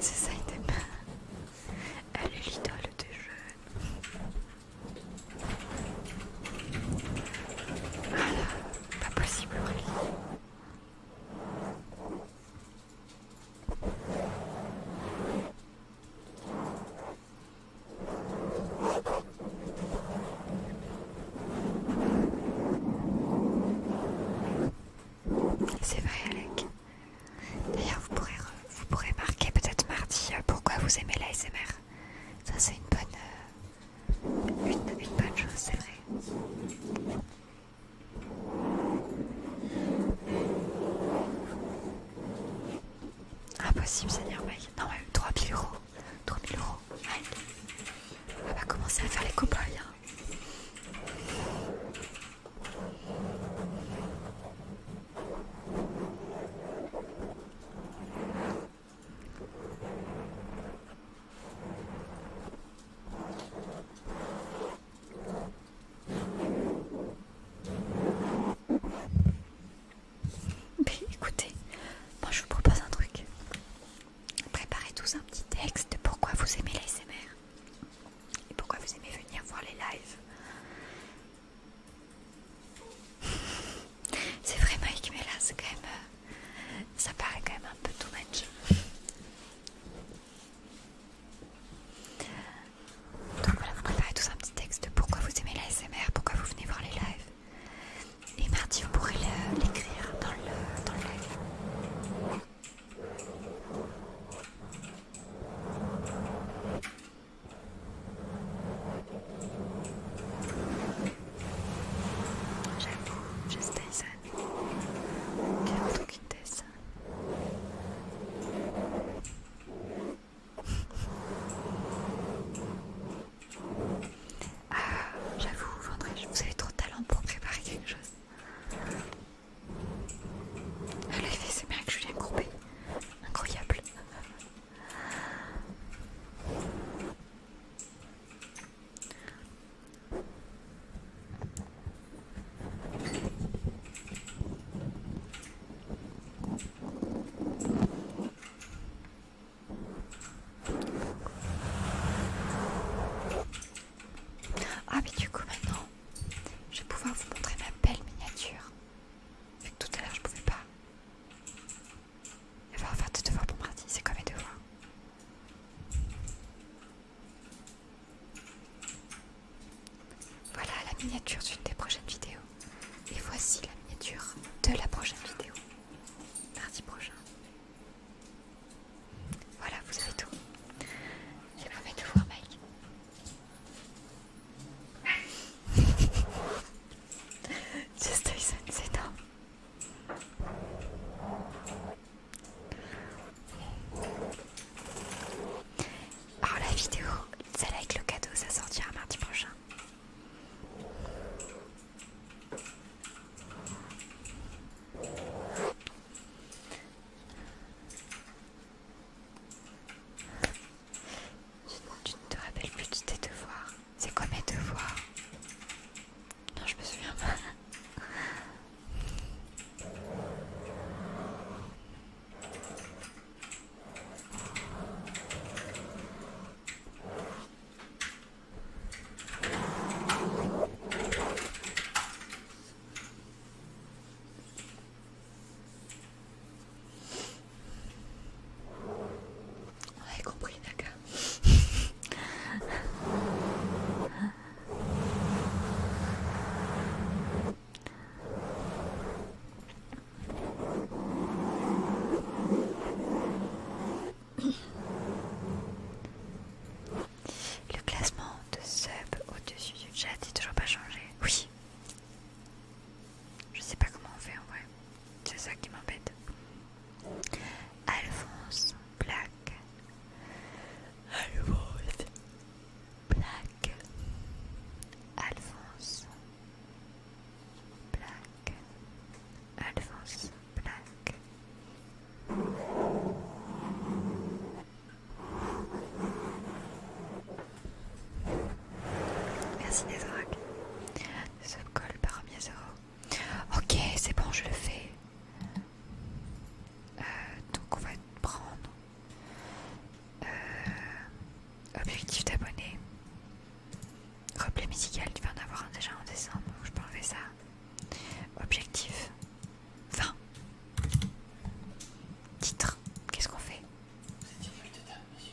C'est ça, il pas Elle est l'idole des jeunes. Voilà, pas possible, Aurélie. C'est vrai Alec. D'ailleurs vous pourrez, vous pourrez marquer peut-être mardi euh, pourquoi vous aimez l'ASMR. Ça c'est une bonne, euh, une bonne chose, c'est vrai. Impossible, c'est merveilleux. Non, ouais, 3000 euros. 3000 euros. On va commencer à faire les copains écoutez, moi je vous propose un truc. Préparez tous un petit texte de pourquoi vous aimez les l'ASMR et pourquoi vous aimez venir voir les lives. C'est vrai Mike, mais là c'est quand même... Euh, ça paraît quand même un peu too much. Donc voilà, vous préparez tous un petit texte de pourquoi vous aimez la SMR, pourquoi vous venez voir les lives. Et mardi, vous pourrez l'écrire dans le, dans le live. J'avoue, juste ça quelle quittesse Ah, j'avoue, vous avez trop de talent pour préparer quelque chose. Elle a fait c'est bien que Julien Courbet. Incroyable. Ah mais du coup maintenant, je vais pouvoir vous montrer ma belle miniature. Vu que tout à l'heure je pouvais pas. Il va faire tes devoirs pour mardi, c'est comme mes devoirs voilà la miniature d'une des prochaines vidéos. Et voici la miniature de la prochaine vidéo. Mardi prochain. Voilà, vous avez tout. Je vais de voir Mike. Just Tyson, c'est temps. Oh la vidéo, celle avec le cadeau, ça sortira mardi prochain. Tu, tu ne te rappelles plus de tes devoirs. C'est quoi mes devoirs non, je me souviens pas. On compris, d'accord. Le classement de sub au-dessus du chat n'est toujours pas changé. Oui. Je sais pas comment on fait en vrai. C'est ça qui m'embête. Alphonse Black. I black Alphonse black Alphonse black Merci des oracles colle par les Ok, c'est bon, je le fais. Euh, donc on va prendre euh, objectif d'abonné, replay musical, tu vas en avoir un déjà en décembre, je peux enlever ça. Objectif Fin Titre, qu'est-ce qu'on fait Night of the de monsieur.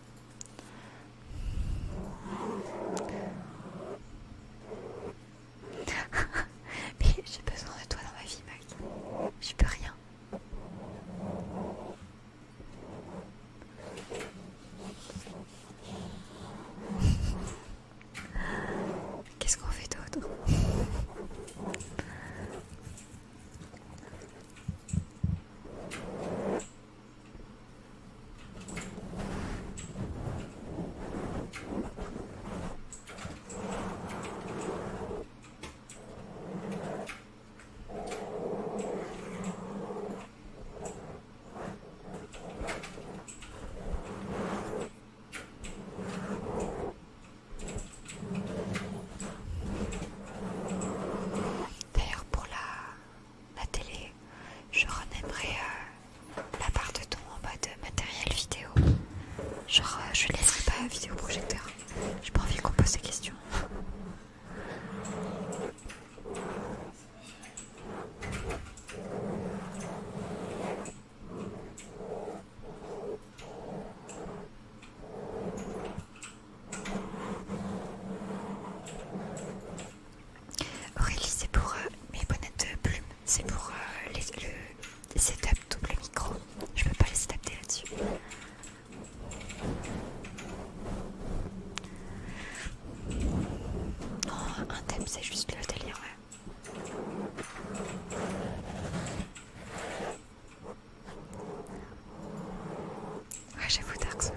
Mais j'ai besoin de toi dans ma vie, Mike Je peux rien. Qu'est-ce qu'on fait d'autre D'ailleurs, pour la la télé, je renaimerai euh, la part de ton en de matériel vidéo. Genre, euh, je laisserai pas vidéoprojecteur. Je pas envie qu'on pose des questions. Aurélie, c'est pour euh, mes bonnets de plumes, c'est pour euh, le setup double micro. Je peux pas les adapter là-dessus. Oh, un thème, c'est juste le délire, ouais. Ah, ouais, j'avoue Dark Souls.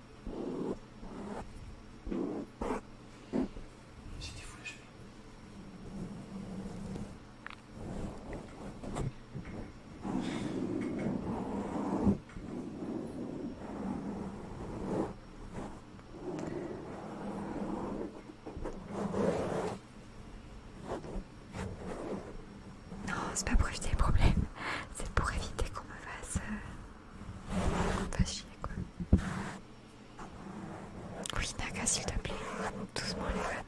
non, c'est pas pour éviter les problèmes, c'est pour éviter qu'on me fasse euh, pas chier quoi. Oui, Naga, s'il te plaît, doucement les gars.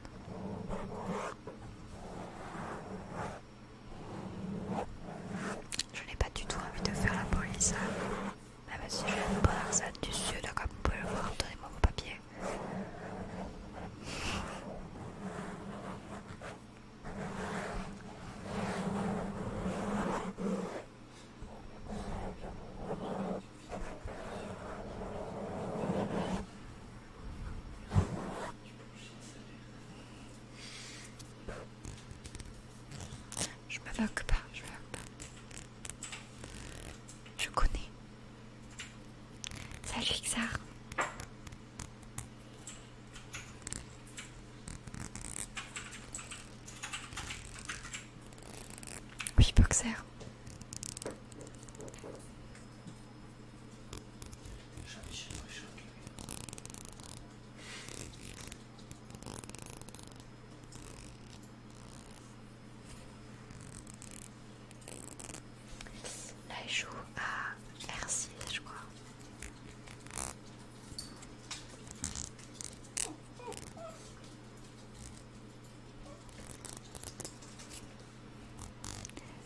Je n'ai pas du tout envie de faire la police. Mais hein. ah, bah, si je viens de Barzan du Sud, hein, comme vous pouvez le voir, donnez-moi vos papiers. Je me pas, je me pas. Je connais. Salut Xar. Oui, boxer. Là, joue à r je crois.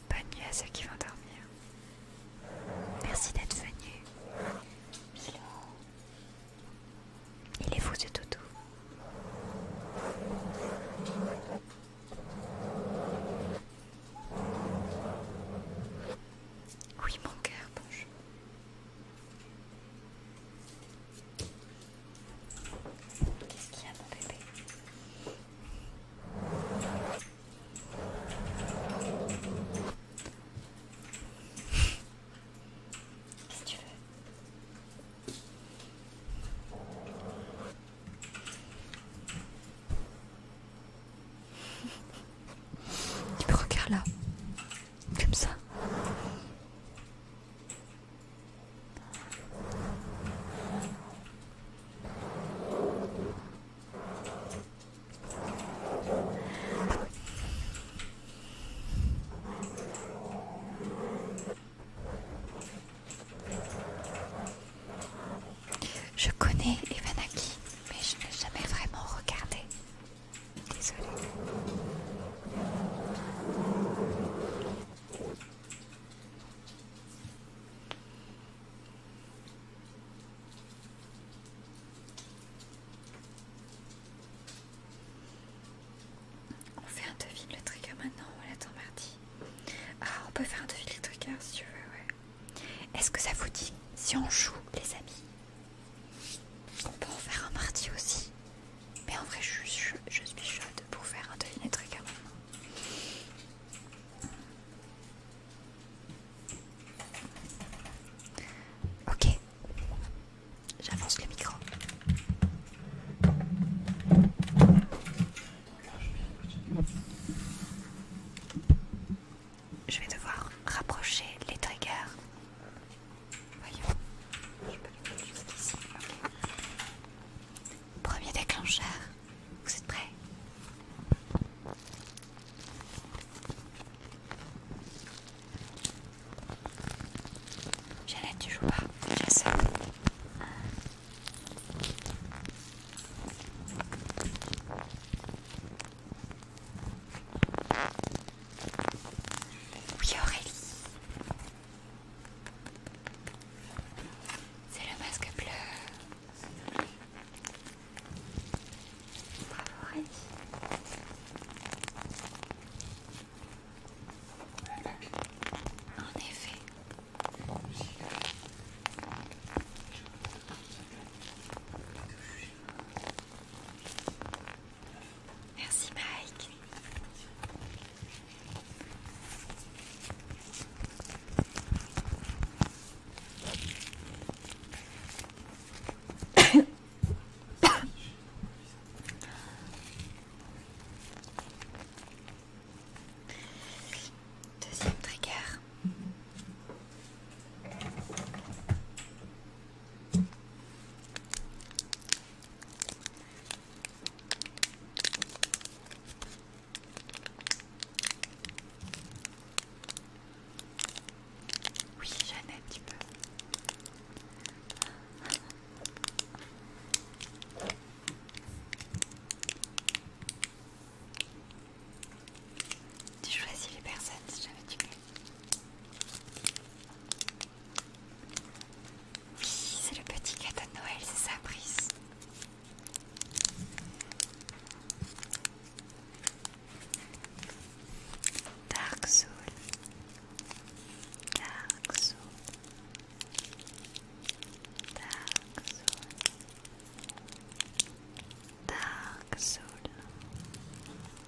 Bonne nuit à ceux qui vont dormir. Merci d'être venu. Il est fou ce toutou. Oui, mon cœur, bonjour. Qu'est-ce qu'il y a mon bébé Qu'est-ce que tu veux Il me regarde là comme ça. Je connais Evanaki, mais je n'ai jamais vraiment regardé. Désolée. On fait un devis le trigger maintenant, on attend mardi. Ah, on peut faire un devis le trigger si tu veux, ouais. Est-ce que ça vous dit si on joue, les amis on peut en faire un parti aussi. Mais en vrai, je, suis chaude pour faire un deviné trigger maintenant. Ok. J'avance le micro. Je vais devoir rapprocher les triggers Voyons, je peux les mettre jusqu'ici. Okay. Premier déclencheur, vous êtes prêts J'allais tu joues pas, j'ai ça. Oui Aurélie C'est le masque bleu Bravo Aurélie En effet Merci Mike. Deuxième trigger. Oui, j'en ai un petit peu. Tu choisis les personnes si jamais tu oui, c'est le petit cadeau de Noël, c'est ça, Brice. Dark Soul. Dark Soul. Dark Soul. Dark Soul.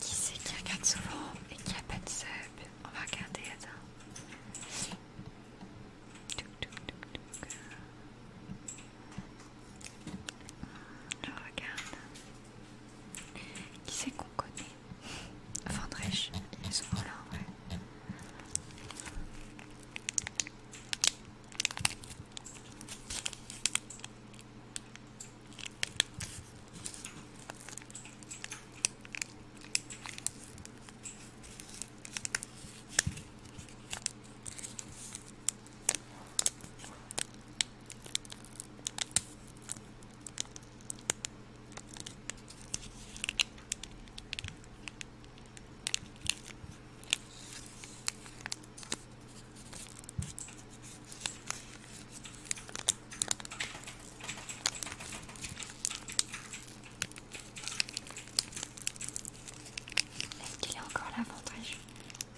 Qui c'est qui regarde souvent et qui a pas de sub On va regarder, attends. Je regarde. Qui c'est qu'on connaît Vendrèche, ils sont là en vrai. Est-ce qu'il est encore là, mon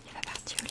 Il va partir au lit.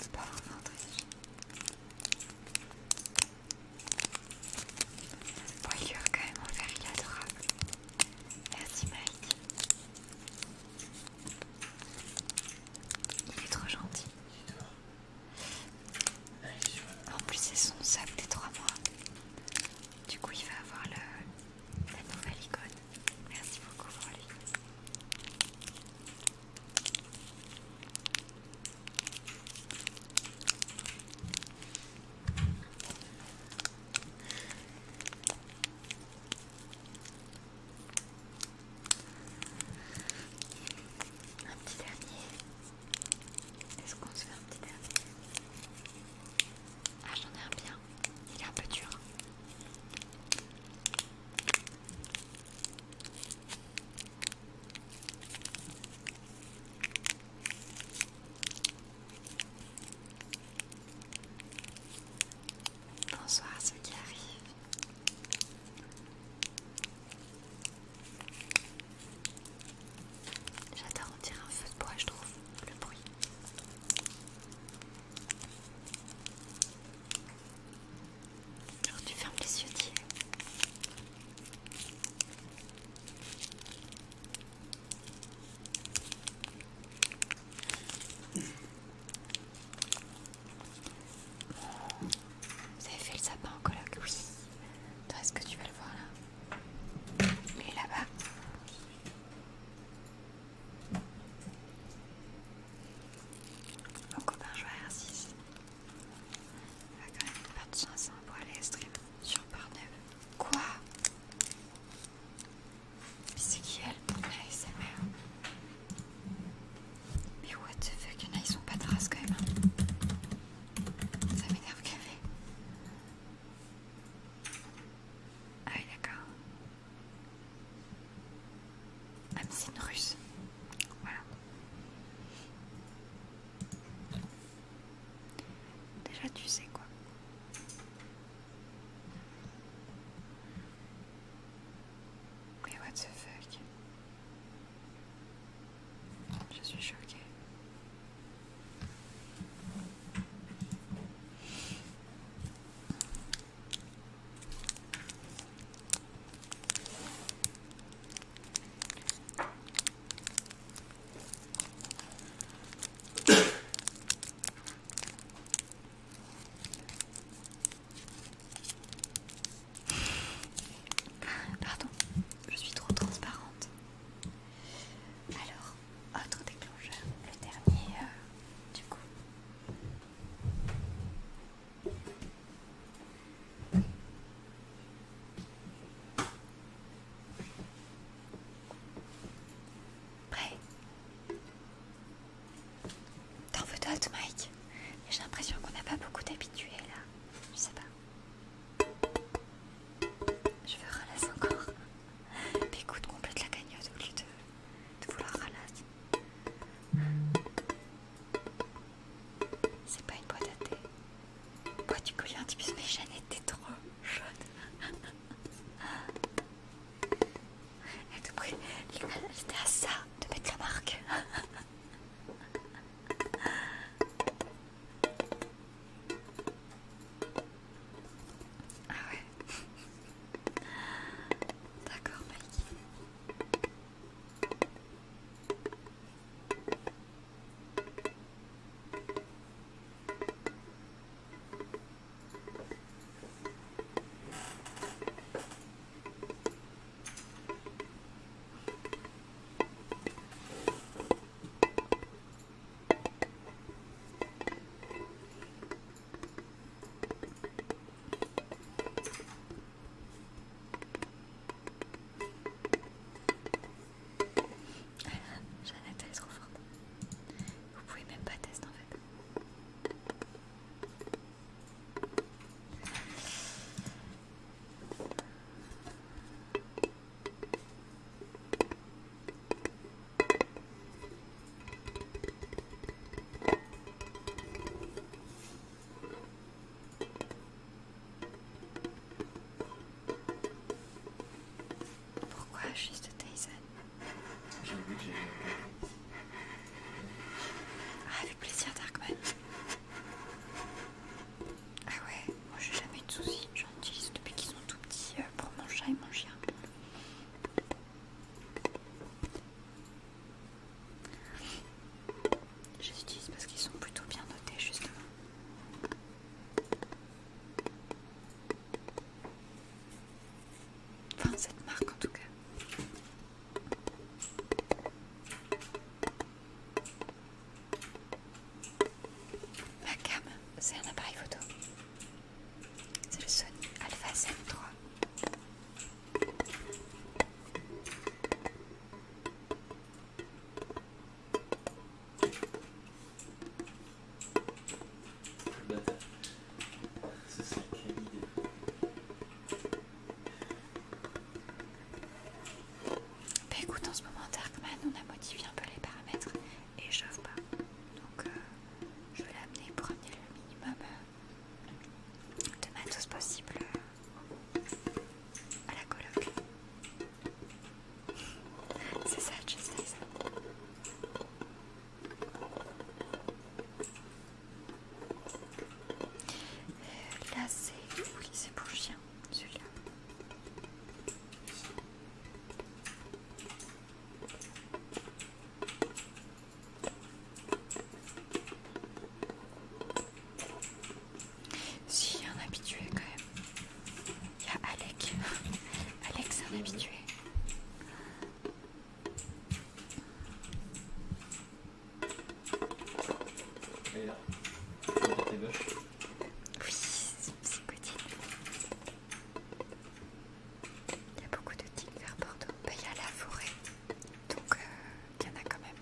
C'est Pas vraiment riche. Bon, il lui a quand même offert, il est adorable. Merci Mike. Il est trop gentil. En plus, c'est son sac des 3 mois. Du coup, il va avoir le, la nouvelle icône. Merci beaucoup pour lui. Un petit dernier. Est-ce qu'on se fait un petit dernier ah, j'en ai un bien. Il est un peu dur. Bonsoir à ceux qui arrivent. J'adore, en tirer un feu de bois, je trouve, le bruit. Alors tu fermes les yeux, Tu Vous avez fait le sapin en coloc Oui. Toi, est-ce que tu vas le voir là et là-bas. Mon copain joue à R6. Il va quand même perdre 500 pour aller stream sur Pornhub. Quoi c'est qui elle La SMR Mais what the fuck, il ils sont pas de race quand même. Hein. Ça m'énerve qu'elle ah oui, d'accord. Ah, russe. Voilà. Déjà, tu sais quoi. Mais what the fuck Je suis choquée. Pardon, je suis trop transparente. Alors, autre déclencheur, le dernier euh, du coup. Prêt T'en veux d'autres, Mike J'ai l'impression qu'on n'a pas beaucoup d'habitués là. Je sais pas. Je veux relâcher encore. Mais écoute, complète la cagnotte au lieu de, vouloir ralasser. C'est pas une boîte à thé. Boîte du collier un bus mais Jeanne était trop chaude. Elle te elle était à ça de mettre la marque. Ah ouais D'accord Mike. Jeannette elle est trop forte. Vous pouvez même pas tester en fait. Pourquoi juste Tyson J'ai ah, avec plaisir Darkman. Ah ouais, moi j'ai jamais eu de soucis, j'en utilise depuis qu'ils sont tout petits euh, pour manger chat et mon chien. Je les utilise parce qu'ils sont plutôt bien notés justement. Enfin cette marque en tout cas. Ma cam, c'est un appareil photo. C'est le Sony Alpha 3. III. Le bâtard. ça qui est idée. Bah écoute, en ce moment, Darkman, on a modifié un peu les paramètres et je chauffe pas. Donc euh, je vais l'amener pour amener le minimum euh, de matos possible euh, à la coloc. C'est ça, je ça. là c'est... Oui, c'est pour chien, celui-là. Si, il y a un habitué quand même. Il y a Alec. Alec, c'est un habitué. Et là, tes bœufs Oui, c'est Cotine. Il y a beaucoup de tigres vers Bordeaux. il y a la forêt, donc euh, il y en a quand même.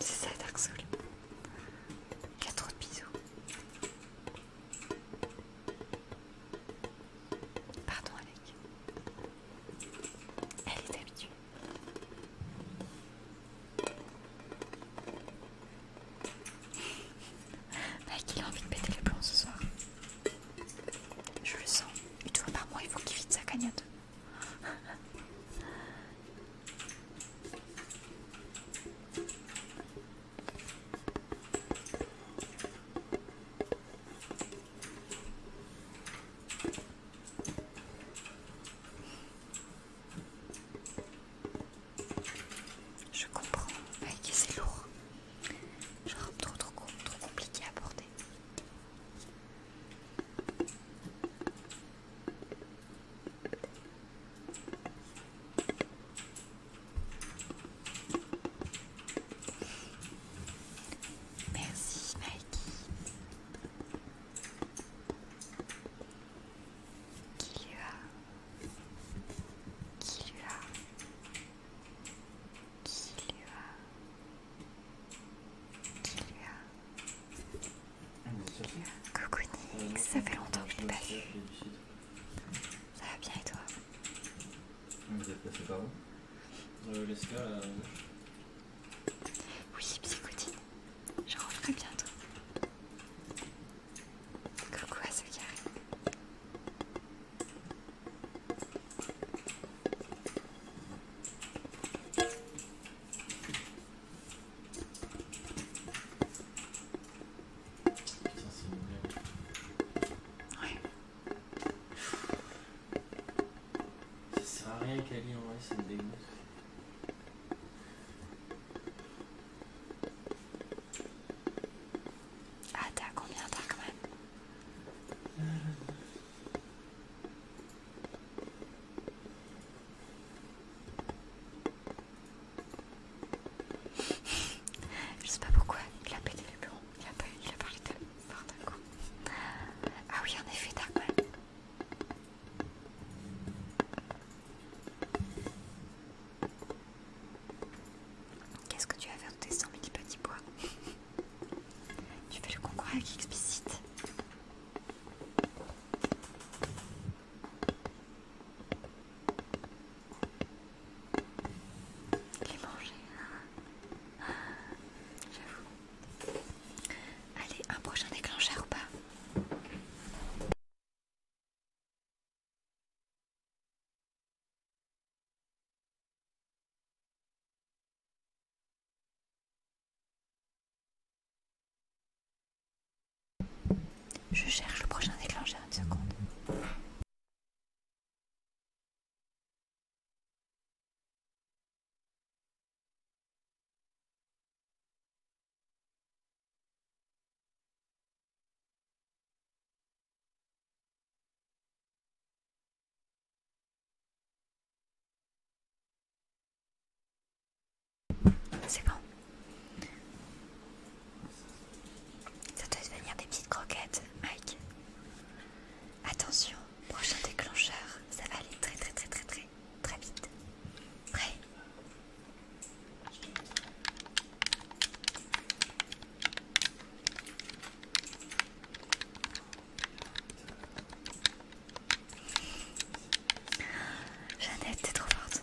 C'est ça Dark Soul. Il y trop de bisous. Pardon Alec. Elle est habituée. Mec, bah, il a envie de péter les plombs ce soir. Je le sens. Une fois par mois, il faut qu'il vide sa cagnotte. Je comprends, que c'est lourd. Genre trop, trop, trop compliqué à porter. Merci Mikey. Qui lui a Qui lui a Qui lui a Qui lui a Coucou Nick, ça fait longtemps que je t'ai pas vu. Ça va bien et toi Vous êtes passé par où euh, oui, psychotine, je rentrerai bientôt. Coucou à ceux qui arrivent. Ça sert à rien est en vrai, ça me dégoûte. Ah on combien t'as quand même Je sais pas pourquoi il a pété le bureau il a, parlé de part d'un coup. Ah oui, en effet, d'accord Qu'est-ce que tu as fait de tes 100 000 petits pois Tu fais le concours avec explicite. Les manger, hein. j'avoue. Allez, un prochain déclencheur ou pas Je cherche le prochain déclencheur une seconde. C'est bon. Ça doit devenir des petites croquettes, Mike. Attention, prochain déclencheur, ça va aller très très très très très très vite. Prêt Jeannette, t'es trop forte.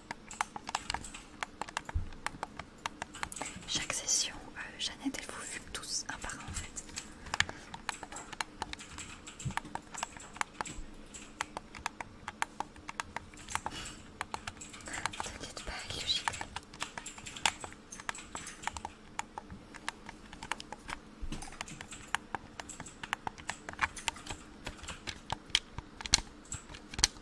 Chaque session, euh, Jeannette, elle vous fume tous un par un en fait. T'inquiète pas, il est le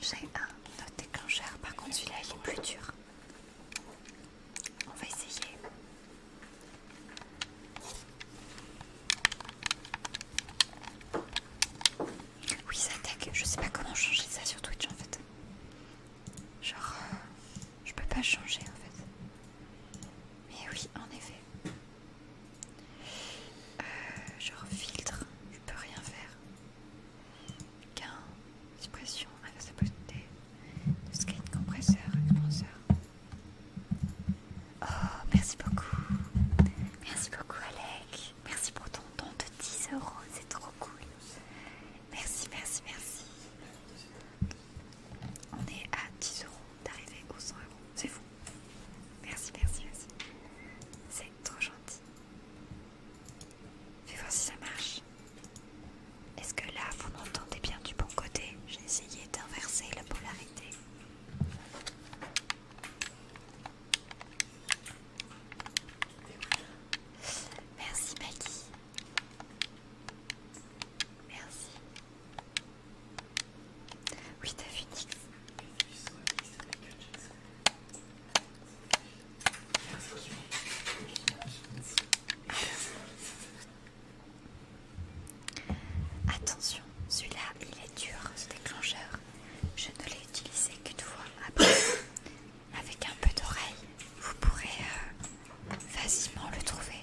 J'ai un autre déclencheur, par contre celui-là il est plus dur. On va essayer. Oui, ça tag, je sais pas comment changer ça sur Twitch en fait. Genre, euh, je peux pas changer en fait. Mais oui, en effet genre euh, filtre, je peux rien faire. Gain, suppression, inversibilité, scan, compresseur, compresseur. Oh, merci beaucoup. Merci beaucoup, Alec. Merci pour ton don de 10 euros, c'est trop cool. Merci, merci, merci. On est à 10 euros d'arriver aux 100 euros, c'est fou. Merci, merci, merci. C'est trop gentil. Fais voir si ça marche. Est-ce que là, vous m'entendez bien du bon côté J'ai essayé d'inverser la polarité. Merci Maggie. Merci. Oui, t'as vu Attention, celui-là, il est dur, ce déclencheur. Je ne l'ai utilisé qu'une fois. Après, avec un peu d'oreille, vous pourrez euh, facilement le trouver.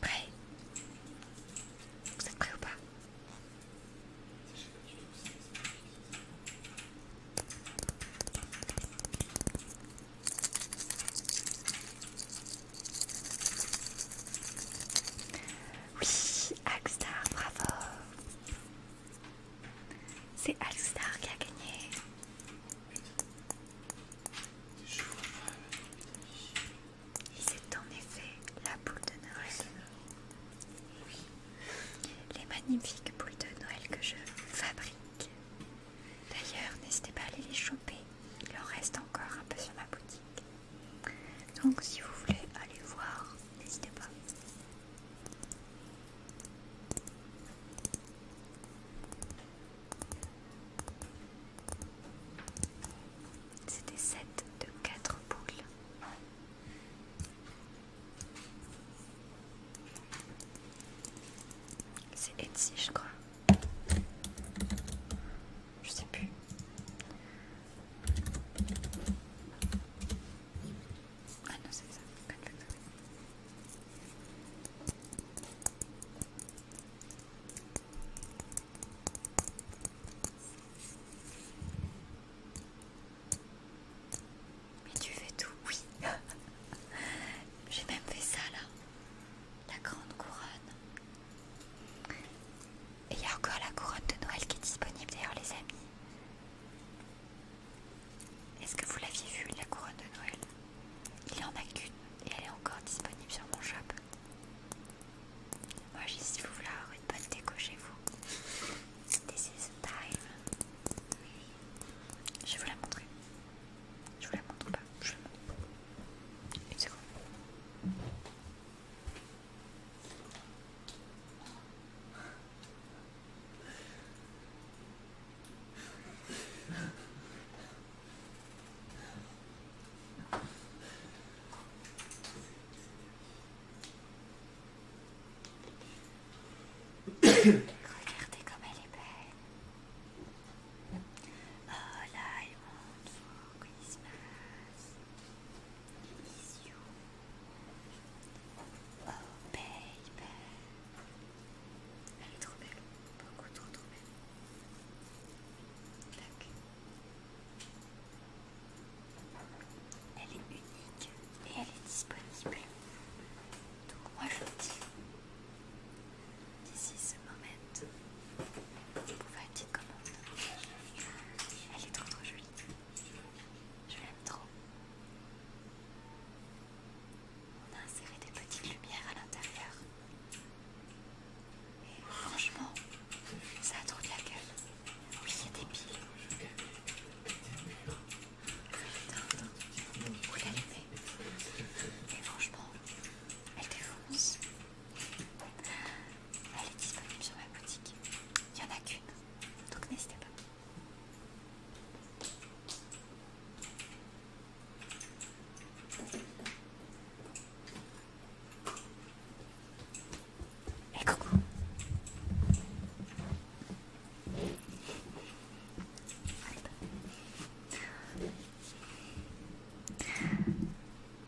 Prêt Vous êtes prêt ou pas oui, Alstar, bravo! C'est Alstar qui a gagné. C'est en effet la boule de Noël. Les magnifiques boules de Noël que je fabrique. D'ailleurs, n'hésitez pas à aller les choper. Il en reste encore un peu sur ma boutique. Donc si vous voulez aller voir, n'hésitez pas. C'était 7 de 4 boules. C'est Etsy, je crois. Je sais plus. Ah non, c'est ça. Mais tu fais tout, oui. J'ai même fait ça là. La grande couronne. Et il y a encore la couronne de Noël qui est disponible d'ailleurs les amis. Est-ce que vous l'aviez vu, la couronne de Noël Il n'y en a qu'une et elle est encore disponible sur mon shop. Moi, j'ai si vous voulez avoir une bonne déco chez vous. This is the time. Je vais vous la montrer. Je vous la montre pas. Je la Une seconde. Regardez comme elle est belle. Oh là, elle monte for Christmas. Is you. Oh baby. Elle est trop belle, beaucoup trop trop belle. Elle est unique et elle est disponible. Donc moi je vous dis, d'ici ce moment, vous faire une petite commande. Elle est trop trop jolie. Je l'aime trop. On a inséré des petites lumières à l'intérieur. Et franchement, ça a trop de la gueule. Oui, il y a des piles. Vous l'allumez. Et franchement, elle défonce. Elle est disponible sur ma boutique. Il n'y en a qu'une. Donc n'hésitez pas coucou.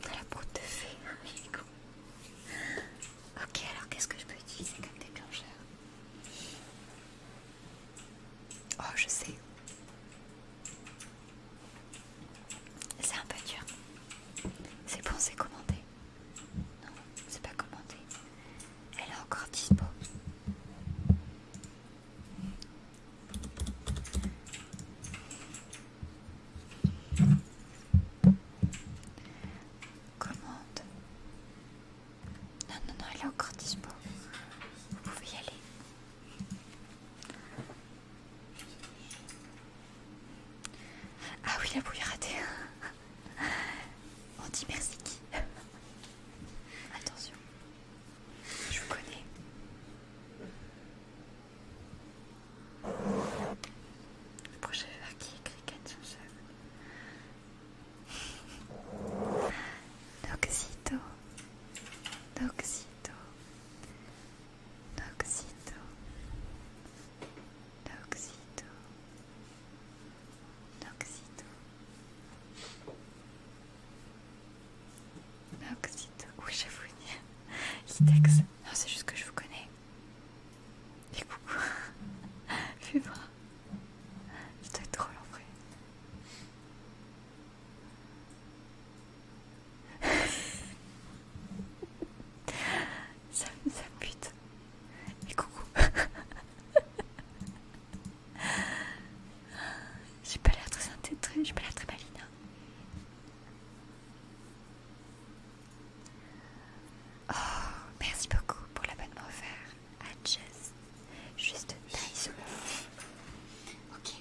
La broute de fée, Ok, alors qu'est-ce que je peux utiliser comme déclencheur Oh, je sais. C'est un peu dur. C'est bon, c'est commandé. Non, c'est pas commandé. Elle est encore dispo. Commande. Non, non, non, elle est encore dispo. Vous pouvez y aller. Ah oui, la bouille ratée. On dit merci qui Attention, je vous connais. Le prochain verre qui écrit Cricket Noxito, Noxito, Noxito, Noxito, Noxito, Noxito, oui j'avoue, texte. non c'est juste que je vous connais. Et coucou, fais je dois être drôle en vrai ça, ça me bute. Et coucou. j'ai pas l'air très j'ai pas l'air très maline. Oh, merci beaucoup pour l'abonnement offert. Hatches. Juste taille Ok.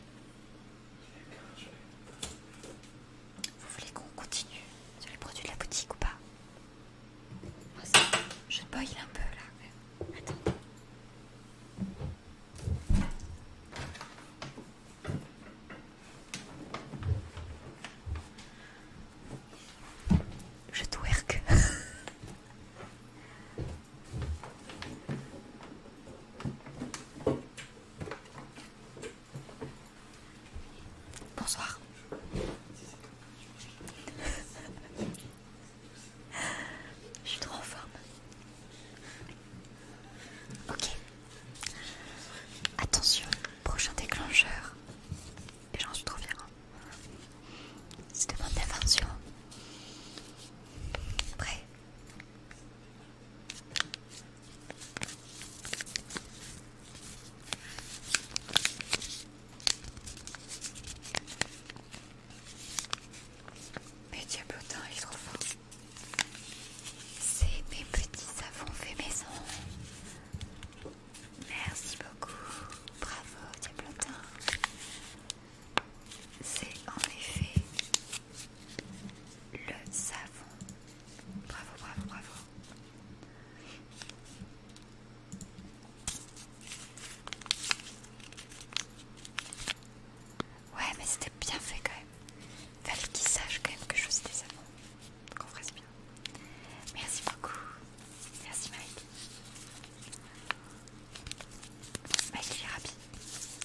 Vous voulez qu'on continue sur les produits de la boutique ou pas aussi. Je boil un peu là. Attends. Je twerk. Bonsoir. Je suis trop en forme. Ok. Attention, prochain déclencheur. Et j'en suis trop fière. Hein de mon invention. Prêt. Mais diablotin, il est trop fort. C'est mes petits savons fait maison. Merci beaucoup. Bravo, diablotin. C'est en effet le savon. Bravo, bravo, bravo. Ouais, mais c'était bien fait quand même. Fallait qu'il sache quand même que je faisais des savons. Qu'on fasse bien. Merci beaucoup. Merci Mike. Bah, il est rapide.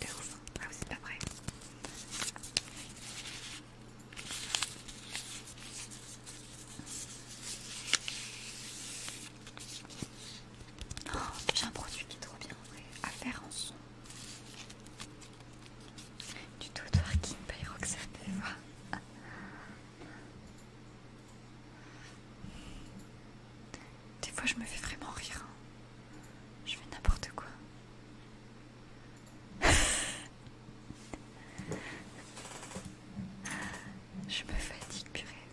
De ouf. Ah, vous êtes pas prêts. Oh, j'ai un produit qui est trop bien ouais. à faire en son. Du tout twerking by Roxane, des fois, je me fais vraiment rire. Hein. Je fais n'importe quoi. je me fatigue, purée.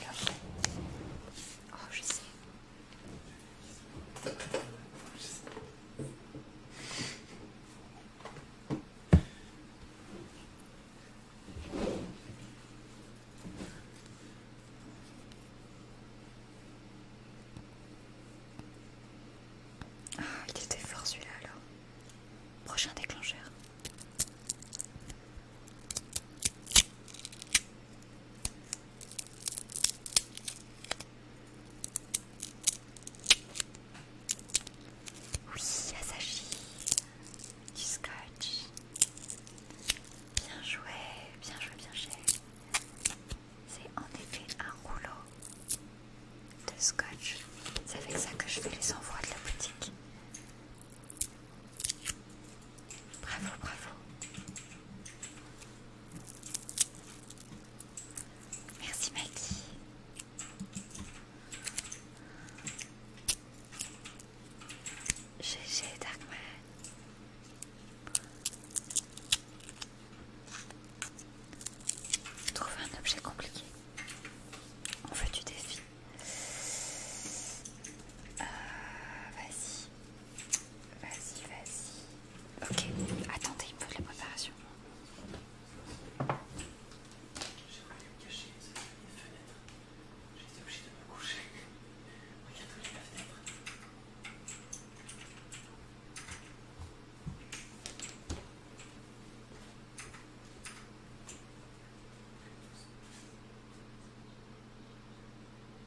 Alors, oh, je sais ah, il était fort celui-là alors. Prochain déclencheur. Oui, s'agit du scotch. Bien joué, bien joué, bien joué. C'est en effet un rouleau de scotch. C'est avec ça que je fais les envois de la boutique. Bravo, bravo. Merci Maggie. GG Darkman. Trouver un objet compliqué. On fait du défi. Ah, Vas-y. Vas-y, vas-y. Ok, attendez, il me faut les la préparation. J'ai voulu me cacher, c'est la fenêtre. J'ai été obligé de me coucher. Regarde la fenêtre.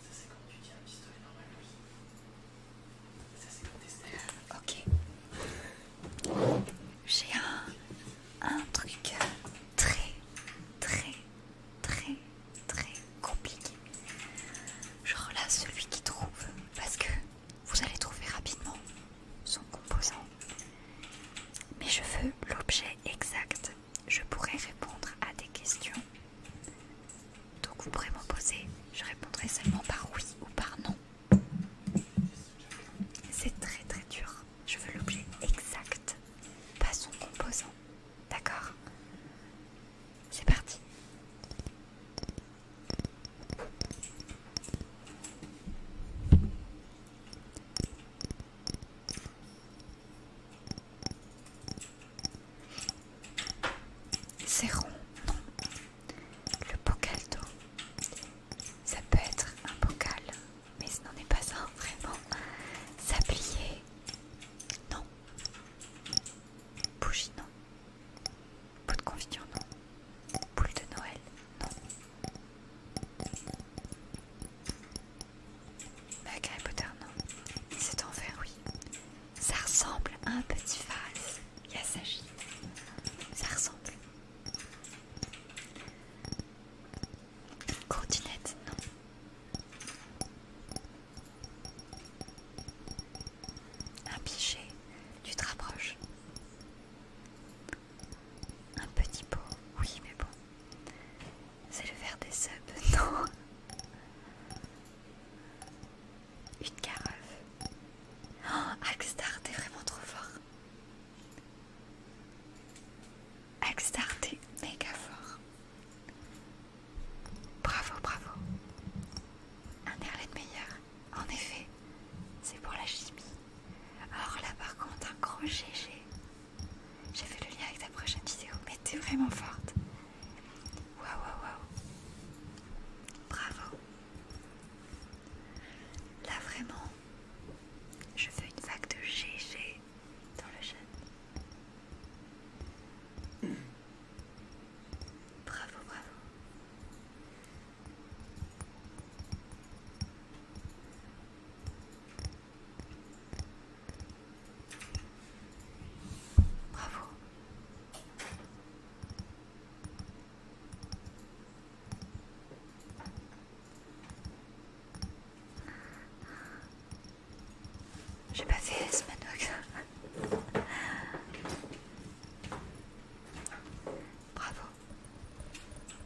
ça c'est quand tu Ça c'est Ok. J'ai un, un truc très, très, très, très compliqué. Genre là, celui qui trouve, parce que vous allez trouver rapidement son composant. Mais je veux l'objet exact. Je pourrais répondre à des questions. Donc vous pourrez m'en poser. Je répondrai seulement par oui ou par non. C'est très très dur. Je veux l'objet exact, pas son composant. D'accord C'est parti. C'est rond, Le bocal d'eau. Ça peut être un bocal, mais ce n'en est pas un vraiment. Sablier, non. Bougie, non. Bout de confiture, non. Boule de Noël, bah Harry non. C'est enfer, oui. Ça ressemble à un petit vase. Yasagi. Ça ressemble. Courtinette, non. Un pichet, tu te rapproches. Un petit pot, oui, mais bon. C'est le verre des subs, non Une carafe. Oh, est vraiment trop fort. Axstar, t'es méga fort. Bravo, bravo. Un airlet meilleur, en effet. C'est pour la chimie. Or là, par contre, un gros GG. J'ai fait le lien avec ta prochaine vidéo, mais t'es vraiment forte. Waouh, waouh, waouh. Bravo. Là, vraiment, je fais une vague de GG dans le chat. Bravo, bravo. Bravo. J'ai pas fait ce manox. Bravo.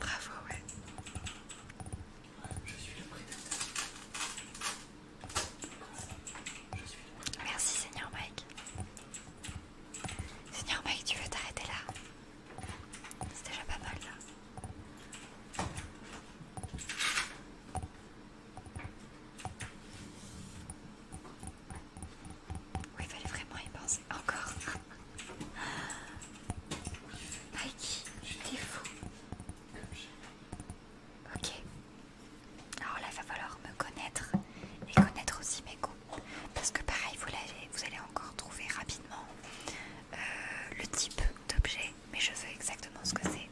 Bravo, ouais. Je suis le prédateur. Je suis Merci, Seigneur Mike. Seigneur Mike, tu veux t'arrêter là C'est déjà pas mal là. Oui, il fallait vraiment y penser. Encore. je t'es fou. Ok. Alors là, il va falloir me connaître et connaître aussi mes goûts. Parce que pareil, vous, allez encore trouver rapidement euh, le type d'objet mais je veux exactement ce que c'est.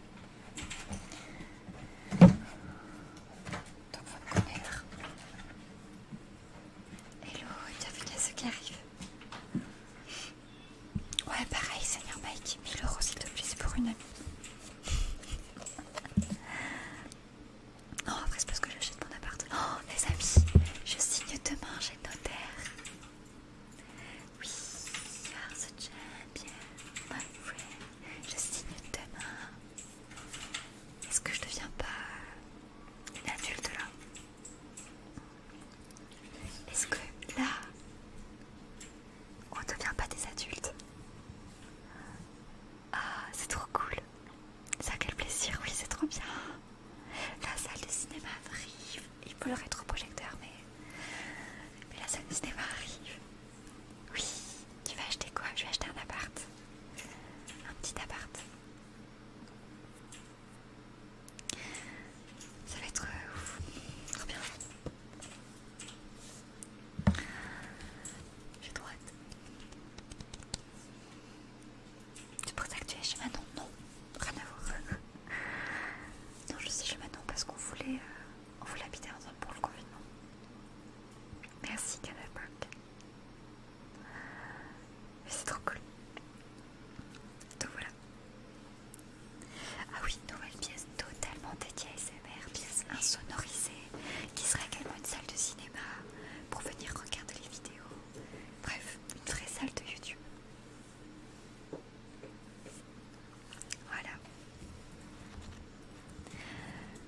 Donc faut me connaître. Hello, y a ceux qui arrivent. Ouais, pareil, Seigneur Mike, 1000 euros s'il te plaît, c'est pour une amie. Non, après c'est parce que j'achète mon appart. Oh, les amis, je signe demain chez le notaire. Oui, are the my Je signe demain. Est-ce que je deviens pas une adulte là Est-ce que là, on ne devient pas des adultes Ah, c'est trop cool. Ça, quel plaisir, oui, c'est trop bien. La salle de cinéma arrive. Il faut le rétroprojecteur, mais... mais la salle de cinéma arrive. Oui, tu vas acheter quoi Je vais acheter un appart. Un petit appart. Ça va être euh, ouf. bien. J'ai droite. C'est pour ça que tu es chez Manon Non, rien à voir. non, je suis chez Manon parce qu'on voulait... Euh, on voulait l'habiter ensemble pour le confinement. Merci Canal Park. C'est trop cool. Donc voilà. Ah oui, nouvelle pièce totalement dédiée à SMR, pièce insonorisée, qui serait également une salle de cinéma pour venir regarder les vidéos. Bref, une vraie salle de YouTube. Voilà.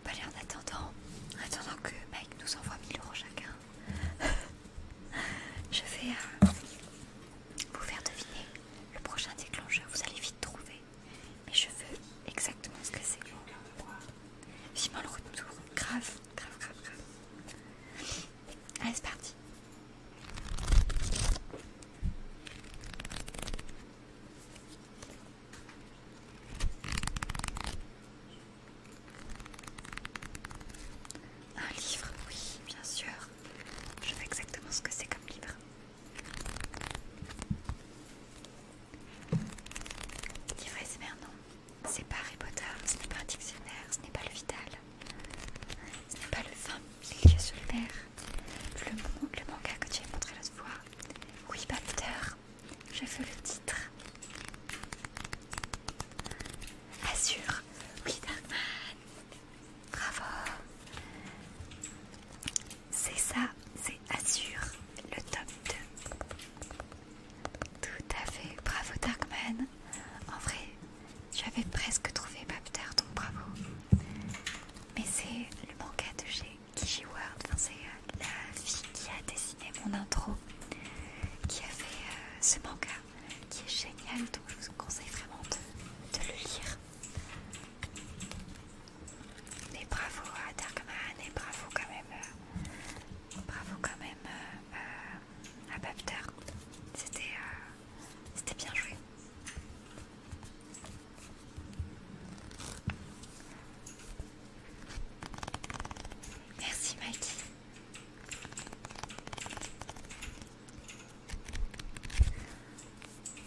Bah allez, en attendant, en attendant que Mike nous envoie 1000 euros chacun, je vais euh, vous faire deviner le prochain déclencheur. Vous allez vite trouver, mais je veux exactement ce que c'est. Vivement le retour, grave, grave, grave, grave. Allez, c'est parti. Un livre, oui, bien sûr. Je sais exactement ce que c'est comme livre. Livre SMR, non. C'est pas Harry Potter, ce n'est pas un dictionnaire, ce n'est pas le Vital, ce n'est pas le vin, c'est lié sur le verre le, manga que tu as montré l'autre fois. Oui, Bapter, j'ai vu le titre. assure oui, Darkman, bravo. C'est ça, c'est Assure. le top 2. Tout à fait, bravo Darkman. En vrai, j'avais presque trouvé Bapter, donc bravo mais c'est le manga de chez Ward, enfin, c'est euh, la fille qui a dessiné mon intro, qui a fait euh, ce manga, qui est génial, donc je vous conseille vraiment de, le lire. Mais bravo à Darkman et bravo quand même, euh, bravo quand même à Bapter. c'était bien joué. Merci Mikey.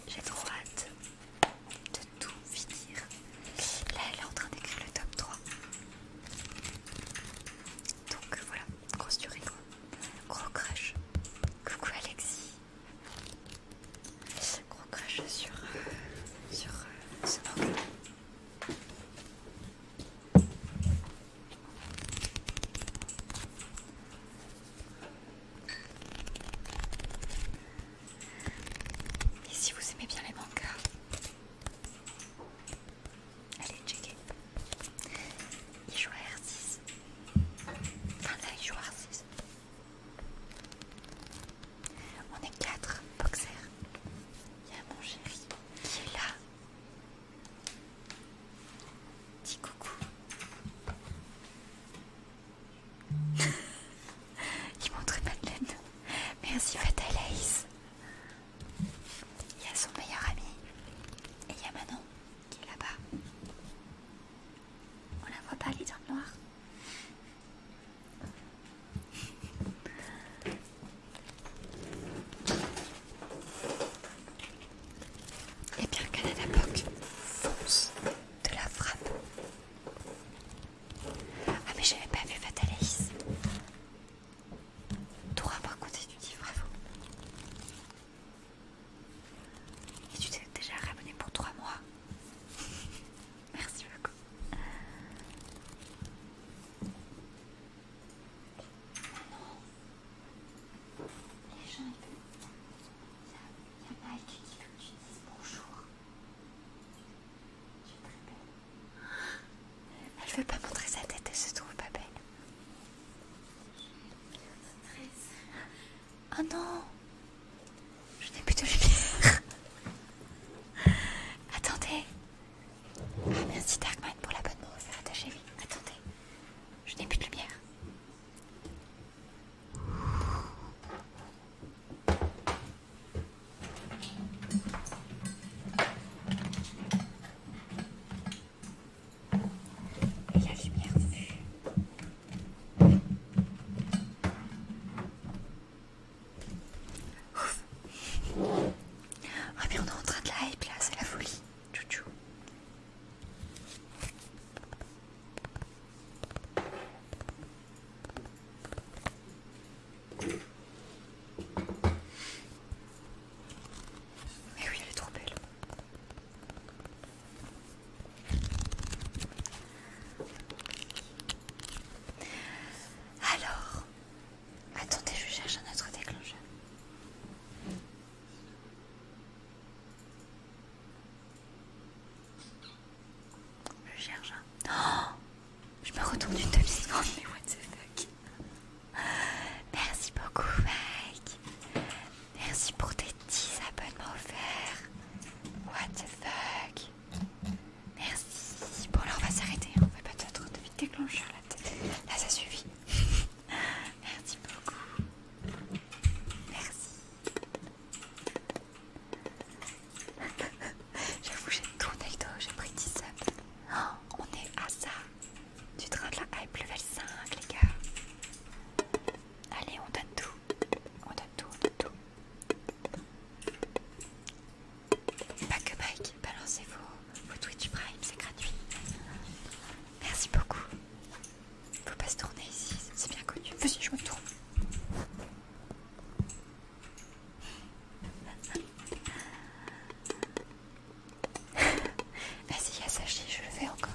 J'ai trop hâte de tout finir. Là, elle est en train d'écrire le top 3. Donc voilà, grosse durée, Gros crush. Coucou Alexis. Gros crash sur, euh, sur euh, ce manga. Et si vous aimez bien les mangas, allez checker. Il joue à R6. Enfin là, il joue à R6. On est quatre boxers. Il y a mon chéri qui est là. Dis coucou. Il montre Madeleine. Merci Ace, Il y a son meilleur ami. Et il y a Manon qui est là-bas. On la voit pas, elle est dans le noir. Et bien Canada l'époque, fonce de la frappe. Ah mais j'avais pas vu Fataleïs Tu pas pas tu du bravo. Et tu t'es déjà ramenée pour trois mois. Merci beaucoup. Maintenant, les gens ils veulent. Il y a, Mike qui veut que tu dises bonjour. Tu es très belle. Elle veut pas montrer sa tête, elle se trouve pas belle. Je très oh non Je n'ai plus de lumière Attendez Ah merci Darkman pour la bonne c'est rattaché oui. Attendez, je n'ai plus de lumière. Il Et la lumière Ouf. on est en train de la hype là, c'est la folie. Chouchou. Mais oui, elle est trop belle. Alors, attendez, je cherche un autre déclencheur. Je cherche un. Oh je me retourne une demi-seconde, mais what the fuck Merci beaucoup, Mike. Merci pour tes 10 abonnements offerts. What the fuck. Merci. Bon, là, on va s'arrêter. Hein. On fait pas trop de vite déclencheur là. Là, ça suffit. Merci beaucoup. Merci. J'avoue, j'ai tourné le dos. J'ai pris 10 subs. on est à ça. Du train de la hype level 5, les gars. Allez, on donne tout. On donne tout, on donne tout. Pas que Mike, balancez vos, Twitch Prime, c'est gratuit. Merci beaucoup. Faut pas se tourner ici, c'est bien connu. Vas-y, je me tourne. Vas-y, Yasashi, je le fais encore.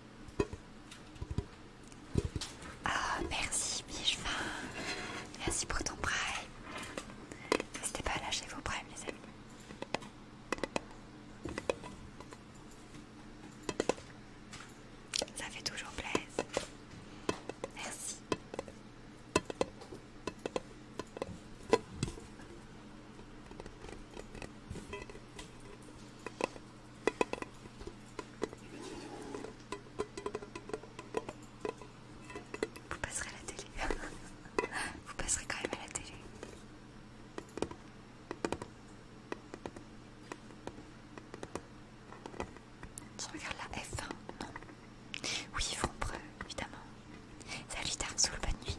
Ah, merci Bichvin. Merci pour ton prime. N'hésitez pas à lâcher vos primes, les amis. Ça fait toujours plaisir. Merci. Vous passerez à la télé. Vous passerez quand même à la télé. Tu regardes la F1 Non. Oui, ils font preuve, évidemment. Salut, tard sous le de nuit.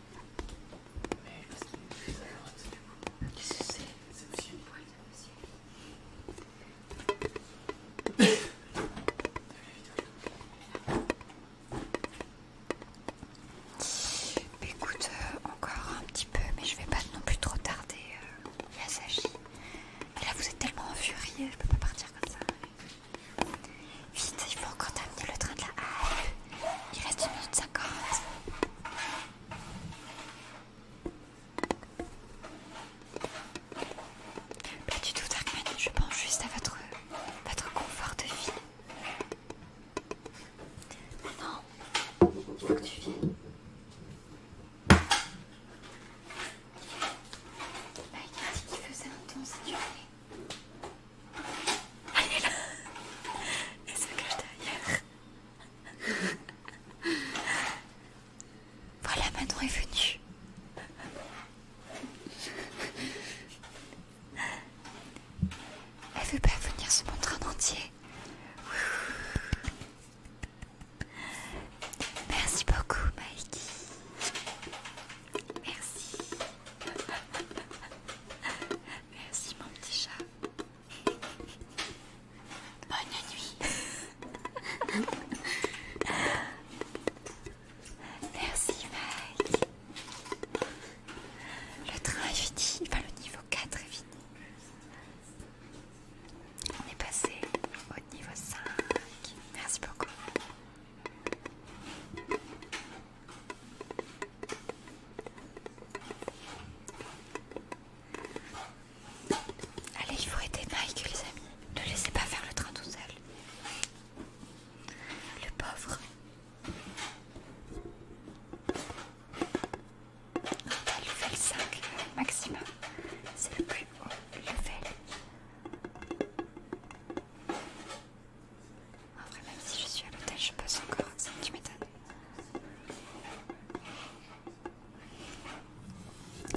Mais qu'est-ce que c'est du coup Qu'est-ce que c'est C'est aussi une boîte. T'as vu la vidéo Écoute, euh, encore un petit peu, mais je vais pas non plus trop tarder. Euh, Yasashi. Et là, vous êtes tellement en furie, je peux pas partir comme ça. Vite, il faut encore terminer le train de la halle. Il reste une minute. ça D'accord. Pas du tout, Darkman, je pense juste à votre, confort de vie. Non, il faut que tu viennes. Bah, il il a dit qu'il faisait un ton si tu voulais. Elle est là Elle se cache derrière Voilà, Manon est venue Elle veut pas venir se montrer en entier Merci beaucoup, Mikey Merci Merci mon petit chat Bonne nuit. Merci Mike. Le train est fini. Enfin, le niveau 4 est fini. On est passé au niveau 5. Merci beaucoup. Allez, il faut aider Mike, les amis. Ne laissez pas faire le train tout seul. Le pauvre. Ah, level 5 maximum, c'est le plus haut level. En vrai, même si je suis à l'hôtel, je passe encore. Ça, tu m'étonnes.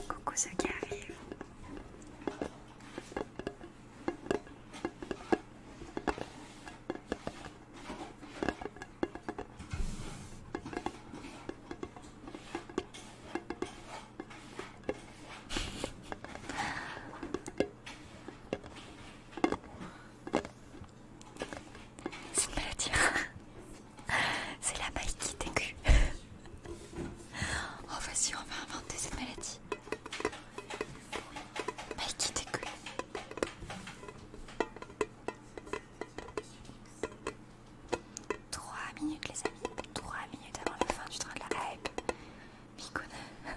Coucou ça qui arrive? C'est une maladie, c'est la bai qui t'aiguille. Oh, vas-y, on va inventer cette maladie. Bai qui t'aiguille. 3 minutes, les amis, 3 minutes avant la fin du train de la hype. Mikon,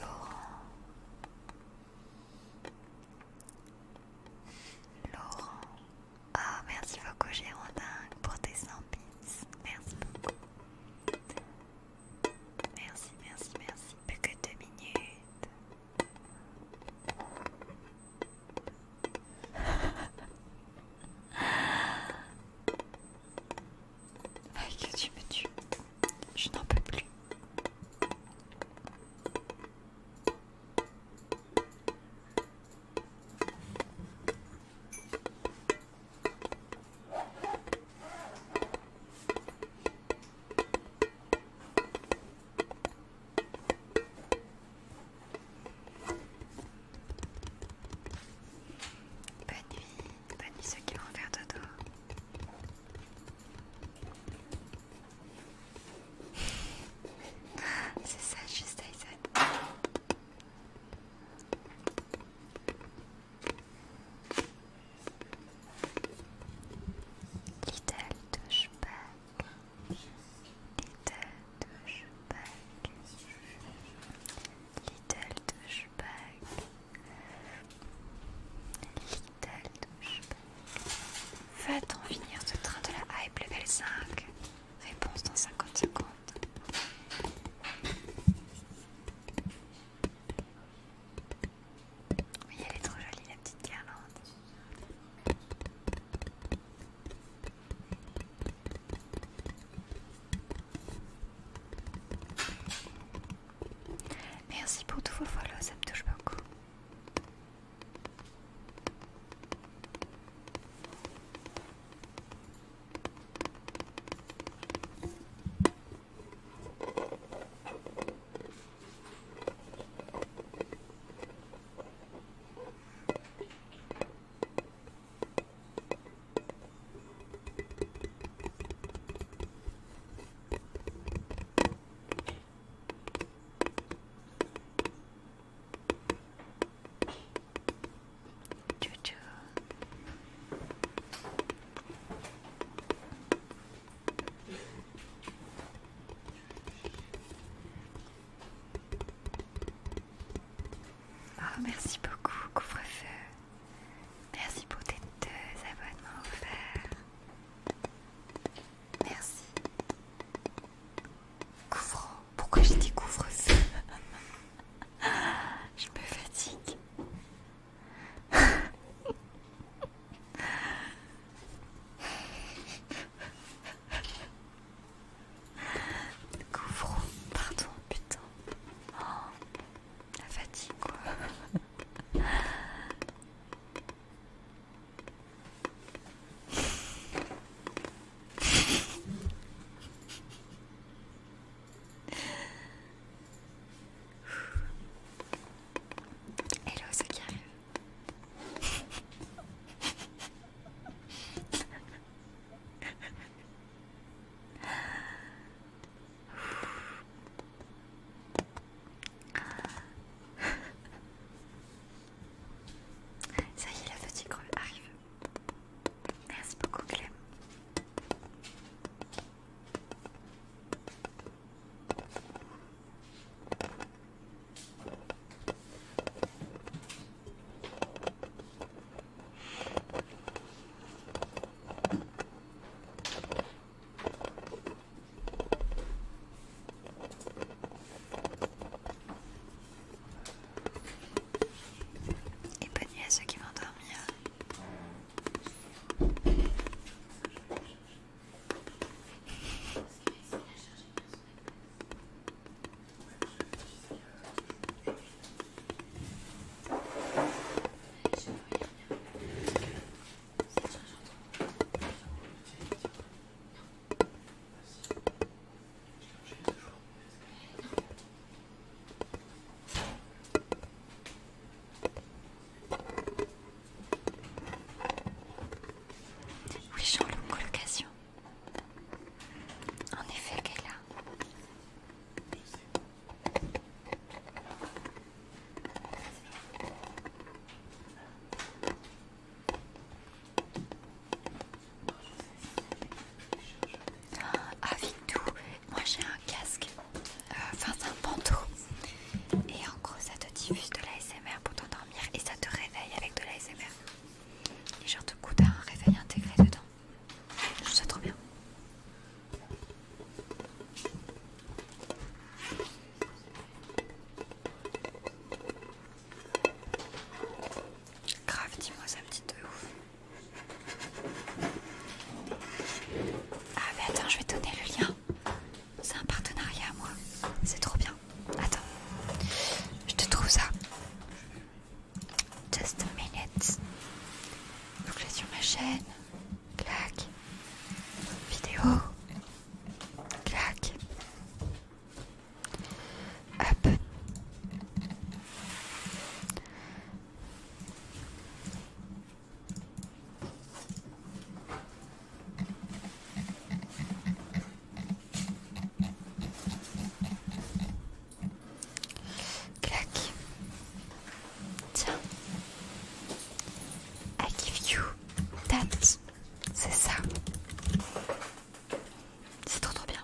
Laurent Laurent Ah merci beaucoup Gérondin pour tes 100 bits Merci Merci merci merci Plus que deux minutes que tu me tues. Je n'en peux plus. Bonne nuit. Bannis ceux qui vont faire dodo. C'est ça, juste Aizan. Little douchebag. Little douchebag. Little douchebag. Little douche va t finir ce train de la hype level 5 Réponse dans 50 secondes. Oui, elle est trop jolie la petite guirlande. Merci pour tous vos follow, ça me touche beaucoup. Ah, merci beaucoup, couvre-feu. Merci pour tes deux abonnements offerts. Merci. Couvre. Pourquoi j'ai dit couvre Je me fatigue. Couvre. Pardon, putain. Oh la fatigue quoi. Hello, ce qui arrive. Ça y est, la petite grue arrive. Merci beaucoup, Clem. Et bonne nuit à ceux qui vont dormir. Oui, Jean Loup, colocation. En effet, là ah, avec tout, moi j'ai un casque, euh, enfin c'est un pantou et en gros ça te diffuse de l'ASMR pour t'endormir et ça te réveille avec de l'ASMR. Et genre, du coup, t'as un réveil intégré dedans. Je trouve trop bien. Grave, dis-moi ça me dit de ouf. Ah mais attends, je vais te donner le lien. C'est un partenariat à moi. C'est trop bien. Attends. Je te trouve ça. Just a minute. Donc là sur ma chaîne. Clac. Vidéo. Clac. Hop. Clac. Tiens. I give you that. C'est ça. C'est trop trop bien.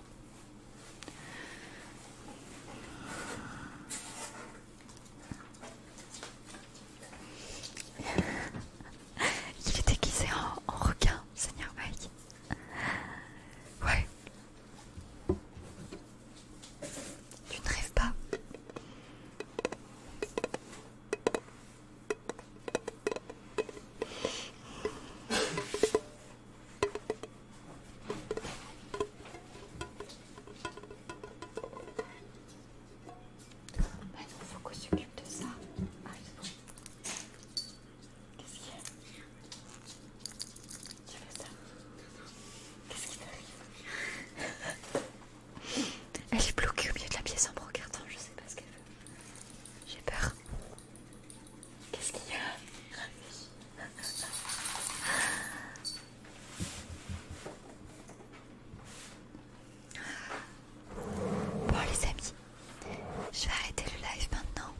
Il est déguisé en, en requin, Seigneur Mike. Ouais. Tu ne rêves pas. Maintenant, bah, il faut qu'on s'occupe de ça. Ah, Qu'est-ce qu'il y a Tu veux ça Qu'est-ce qui t'arrive Elle est bloquée au milieu de la pièce en brocartant, je sais pas ce qu'elle veut. J'ai peur. Qu'est-ce qu'il y a Bon les amis, je vais arrêter le live maintenant.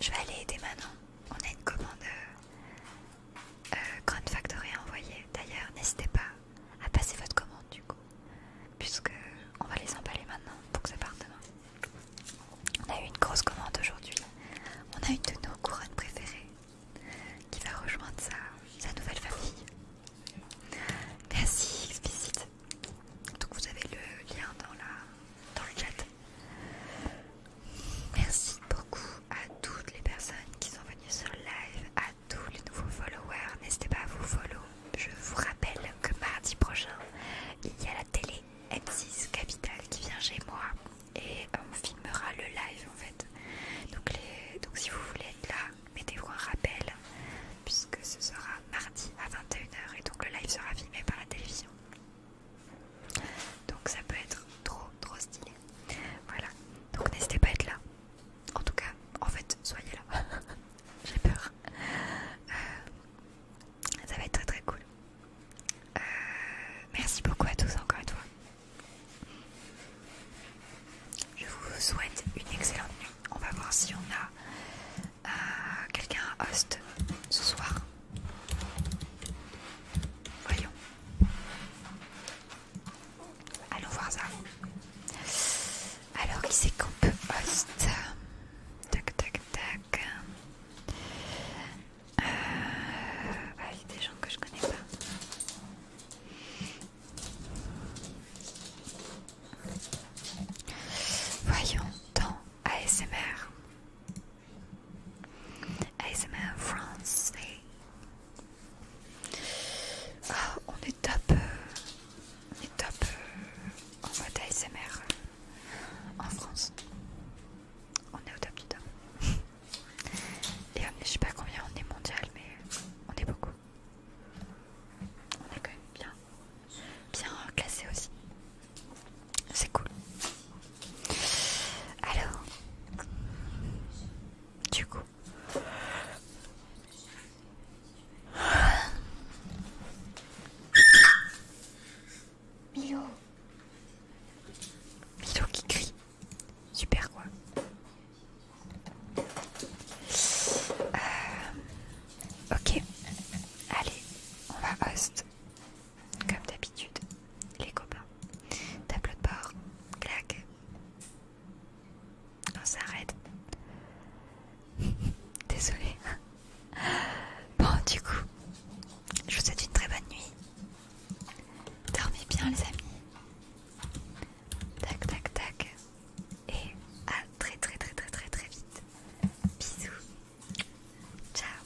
Je vais aller aider Manon. On a une commande euh, euh, Grand Factory envoyé. D'ailleurs, n'hésitez pas à passer votre commande du coup, puisque on va les emballer maintenant pour que ça parte demain. On a eu une grosse commande aujourd'hui. On a une de nos couronnes préférées qui va rejoindre sa, nouvelle famille. Merci explicite. Donc vous avez le lien dans la dans le chat. Merci beaucoup à toutes les personnes qui sont venues sur le live, à tous les nouveaux followers. N'hésitez pas à vous follow. Je vous rappelle que mardi prochain, il y a la télé M6 Capital qui vient chez moi et on filmera le live en fait. Donc, donc si vous voulez être là, mettez-vous un rappel puisque ce sera mardi à 21h et donc le live sera filmé par la télévision. Donc ça peut être trop trop stylé. Voilà. Donc n'hésitez pas à être là. En tout cas, en fait, soyez là. J'ai peur. Euh, ça va être très très cool. Euh, merci beaucoup à tous encore une fois. Je vous souhaite une excellente nuit. On va voir si on a euh, quelqu'un à host ce soir. Voyons. Allons voir ça. Alors, il s'écoupe qu'on peut host Tac, tac, tac. Euh, ah, il y a des gens que je connais pas. Voyons dans ASMR. ASMR France. Ah, on est top. Euh, on est top euh, en mode ASMR euh, en France. On est au top du top. Et on je sais pas combien on est mondial, mais on est beaucoup. On est quand même bien, bien classé aussi. C'est cool. Alors, du coup, Milo, Milo qui crie, super quoi. Euh, ok, allez, on va poste comme d'habitude, les copains. Tableau de bord, claque. On s'arrête. Désolé. Bon, du coup, je vous souhaite une très bonne nuit. Dormez bien, les amis. Tac, tac, tac. Et à très, très, très, très, très, très vite. Bisous. Ciao.